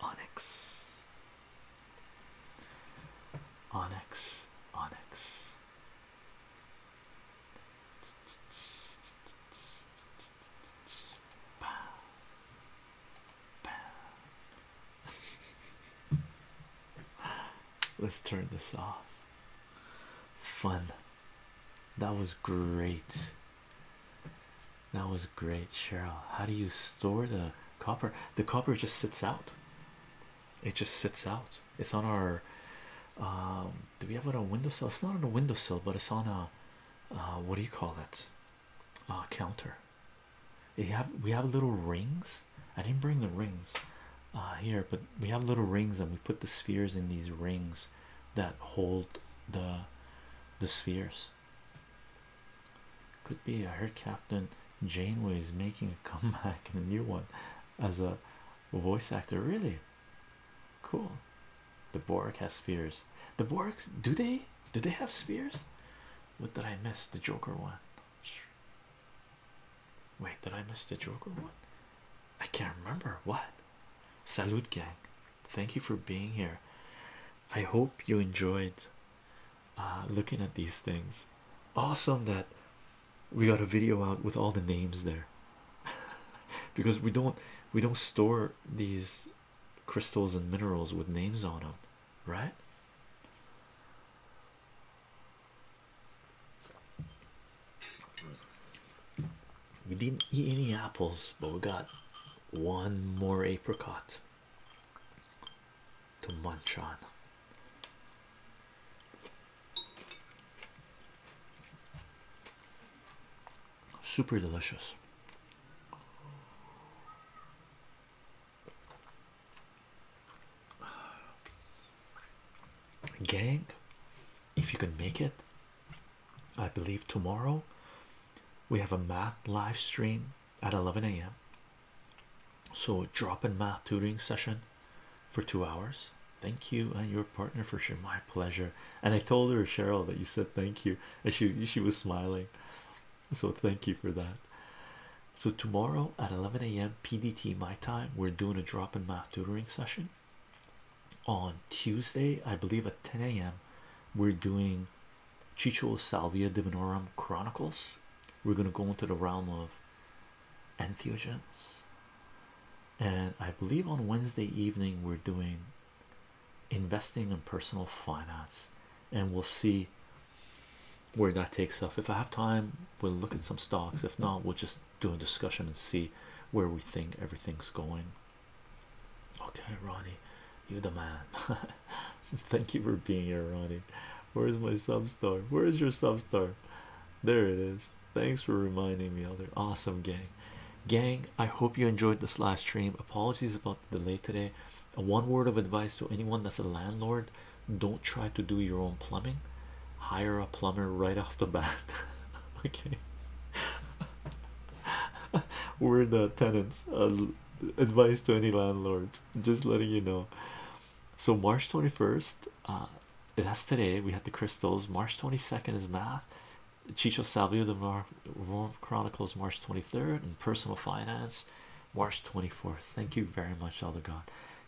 Speaker 3: Onyx,
Speaker 1: Onyx, Onyx. Let's turn this off. Fun. That was great. That was great, Cheryl. How do you store the copper? The copper just sits out. It just sits out. It's on our. Um, do we have it on a windowsill? It's not on a windowsill, but it's on a. Uh, what do you call it? counter. We have we have little rings. I didn't bring the rings uh, here, but we have little rings, and we put the spheres in these rings that hold the the spheres. Could be I heard captain Janeway is making a comeback in a new one as a voice actor. Really cool. The Borg has spheres. The Borgs do they? Do they have spheres? What did I miss? The Joker one. Wait, did I miss the Joker one? I can't remember what. Salute gang. Thank you for being here. I hope you enjoyed uh, looking at these things. Awesome that we got a video out with all the names there, because we don't we don't store these crystals and minerals with names on them, right? We didn't eat any apples, but we got one more apricot to munch on. Super delicious. Gang, if you can make it, I believe tomorrow we have a math live stream at 11 a.m. So, drop in math tutoring session for two hours. Thank you and your partner for sure. My pleasure. And I told her, Cheryl, that you said thank you, and she she was smiling. So, thank you for that. So, tomorrow at 11 a.m. PDT, my time, we're doing a drop in math tutoring session. On Tuesday, I believe at 10 a.m., we're doing Chicho Salvia Divinorum Chronicles. We're going to go into the realm of entheogens, and I believe on Wednesday evening we're doing investing and personal finance, and we'll see where that takes us. If I have time, we'll look at some stocks. If not, we'll just do a discussion and see where we think everything's going. Okay, Ronnie, you're the man. Thank you for being here, Ronnie. Where's my sub star? Where's your sub star? There it is. Thanks for reminding me, other awesome gang. Gang, I hope you enjoyed this last stream. Apologies about the delay today. One word of advice to anyone that's a landlord don't try to do your own plumbing, hire a plumber right off the bat. okay, we're the tenants, uh, advice to any landlords. Just letting you know. So March twenty first, uh, today. We had the crystals. March twenty second is math. Chicho Salvio the Mar Chronicles March twenty third and personal finance March twenty fourth. Thank you very much, Elder God.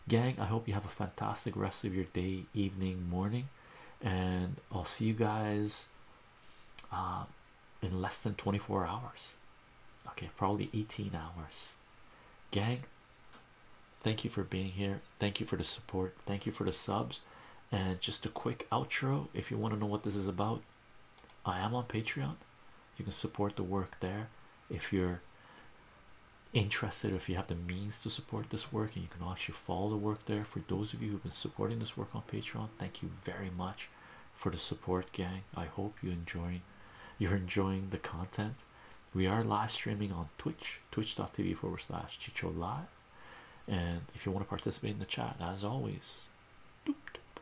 Speaker 1: Gang, I hope you have a fantastic rest of your day, evening, morning, and I'll see you guys uh, in less than 24 hours okay probably 18 hours gang thank you for being here thank you for the support thank you for the subs and just a quick outro if you want to know what this is about i am on patreon you can support the work there if you're interested if you have the means to support this work and you can actually follow the work there for those of you who've been supporting this work on patreon thank you very much for the support gang i hope you enjoying you're enjoying the content we are live streaming on twitch twitch.tv forward slash chicho and if you want to participate in the chat as always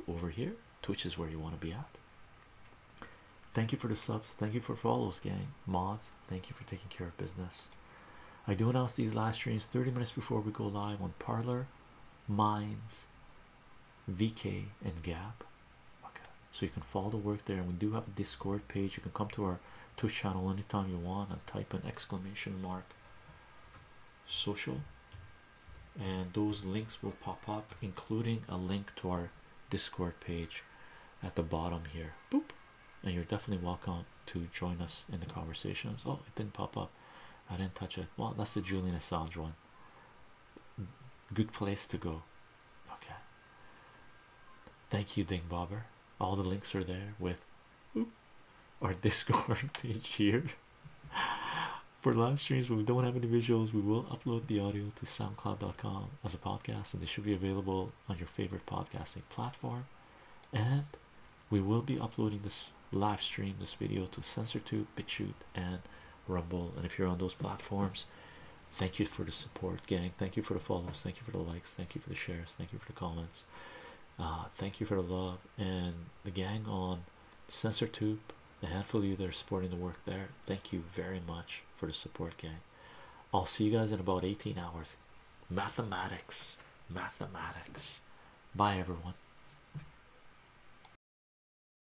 Speaker 1: over here twitch is where you want to be at thank you for the subs thank you for follows gang mods thank you for taking care of business i do announce these live streams 30 minutes before we go live on parlor minds VK and Gap. Okay, so you can follow the work there, and we do have a Discord page. You can come to our to channel anytime you want and type an exclamation mark social, and those links will pop up, including a link to our Discord page at the bottom here. Boop, and you're definitely welcome to join us in the conversations. Oh, it didn't pop up. I didn't touch it. Well, that's the Julian Assange one good place to go. Okay. Thank you, Ding Bobber. All the links are there with our Discord page here. For live streams, we don't have any visuals. We will upload the audio to soundcloud.com as a podcast, and they should be available on your favorite podcasting platform. And we will be uploading this live stream, this video to Tube, BitChute, and Rumble, and if you're on those platforms, thank you for the support, gang. Thank you for the follows, thank you for the likes, thank you for the shares, thank you for the comments, uh, thank you for the love, and the gang on SensorTube, the handful of you that are supporting the work there. Thank you very much for the support, gang. I'll see you guys in about 18 hours. Mathematics, mathematics. Bye, everyone.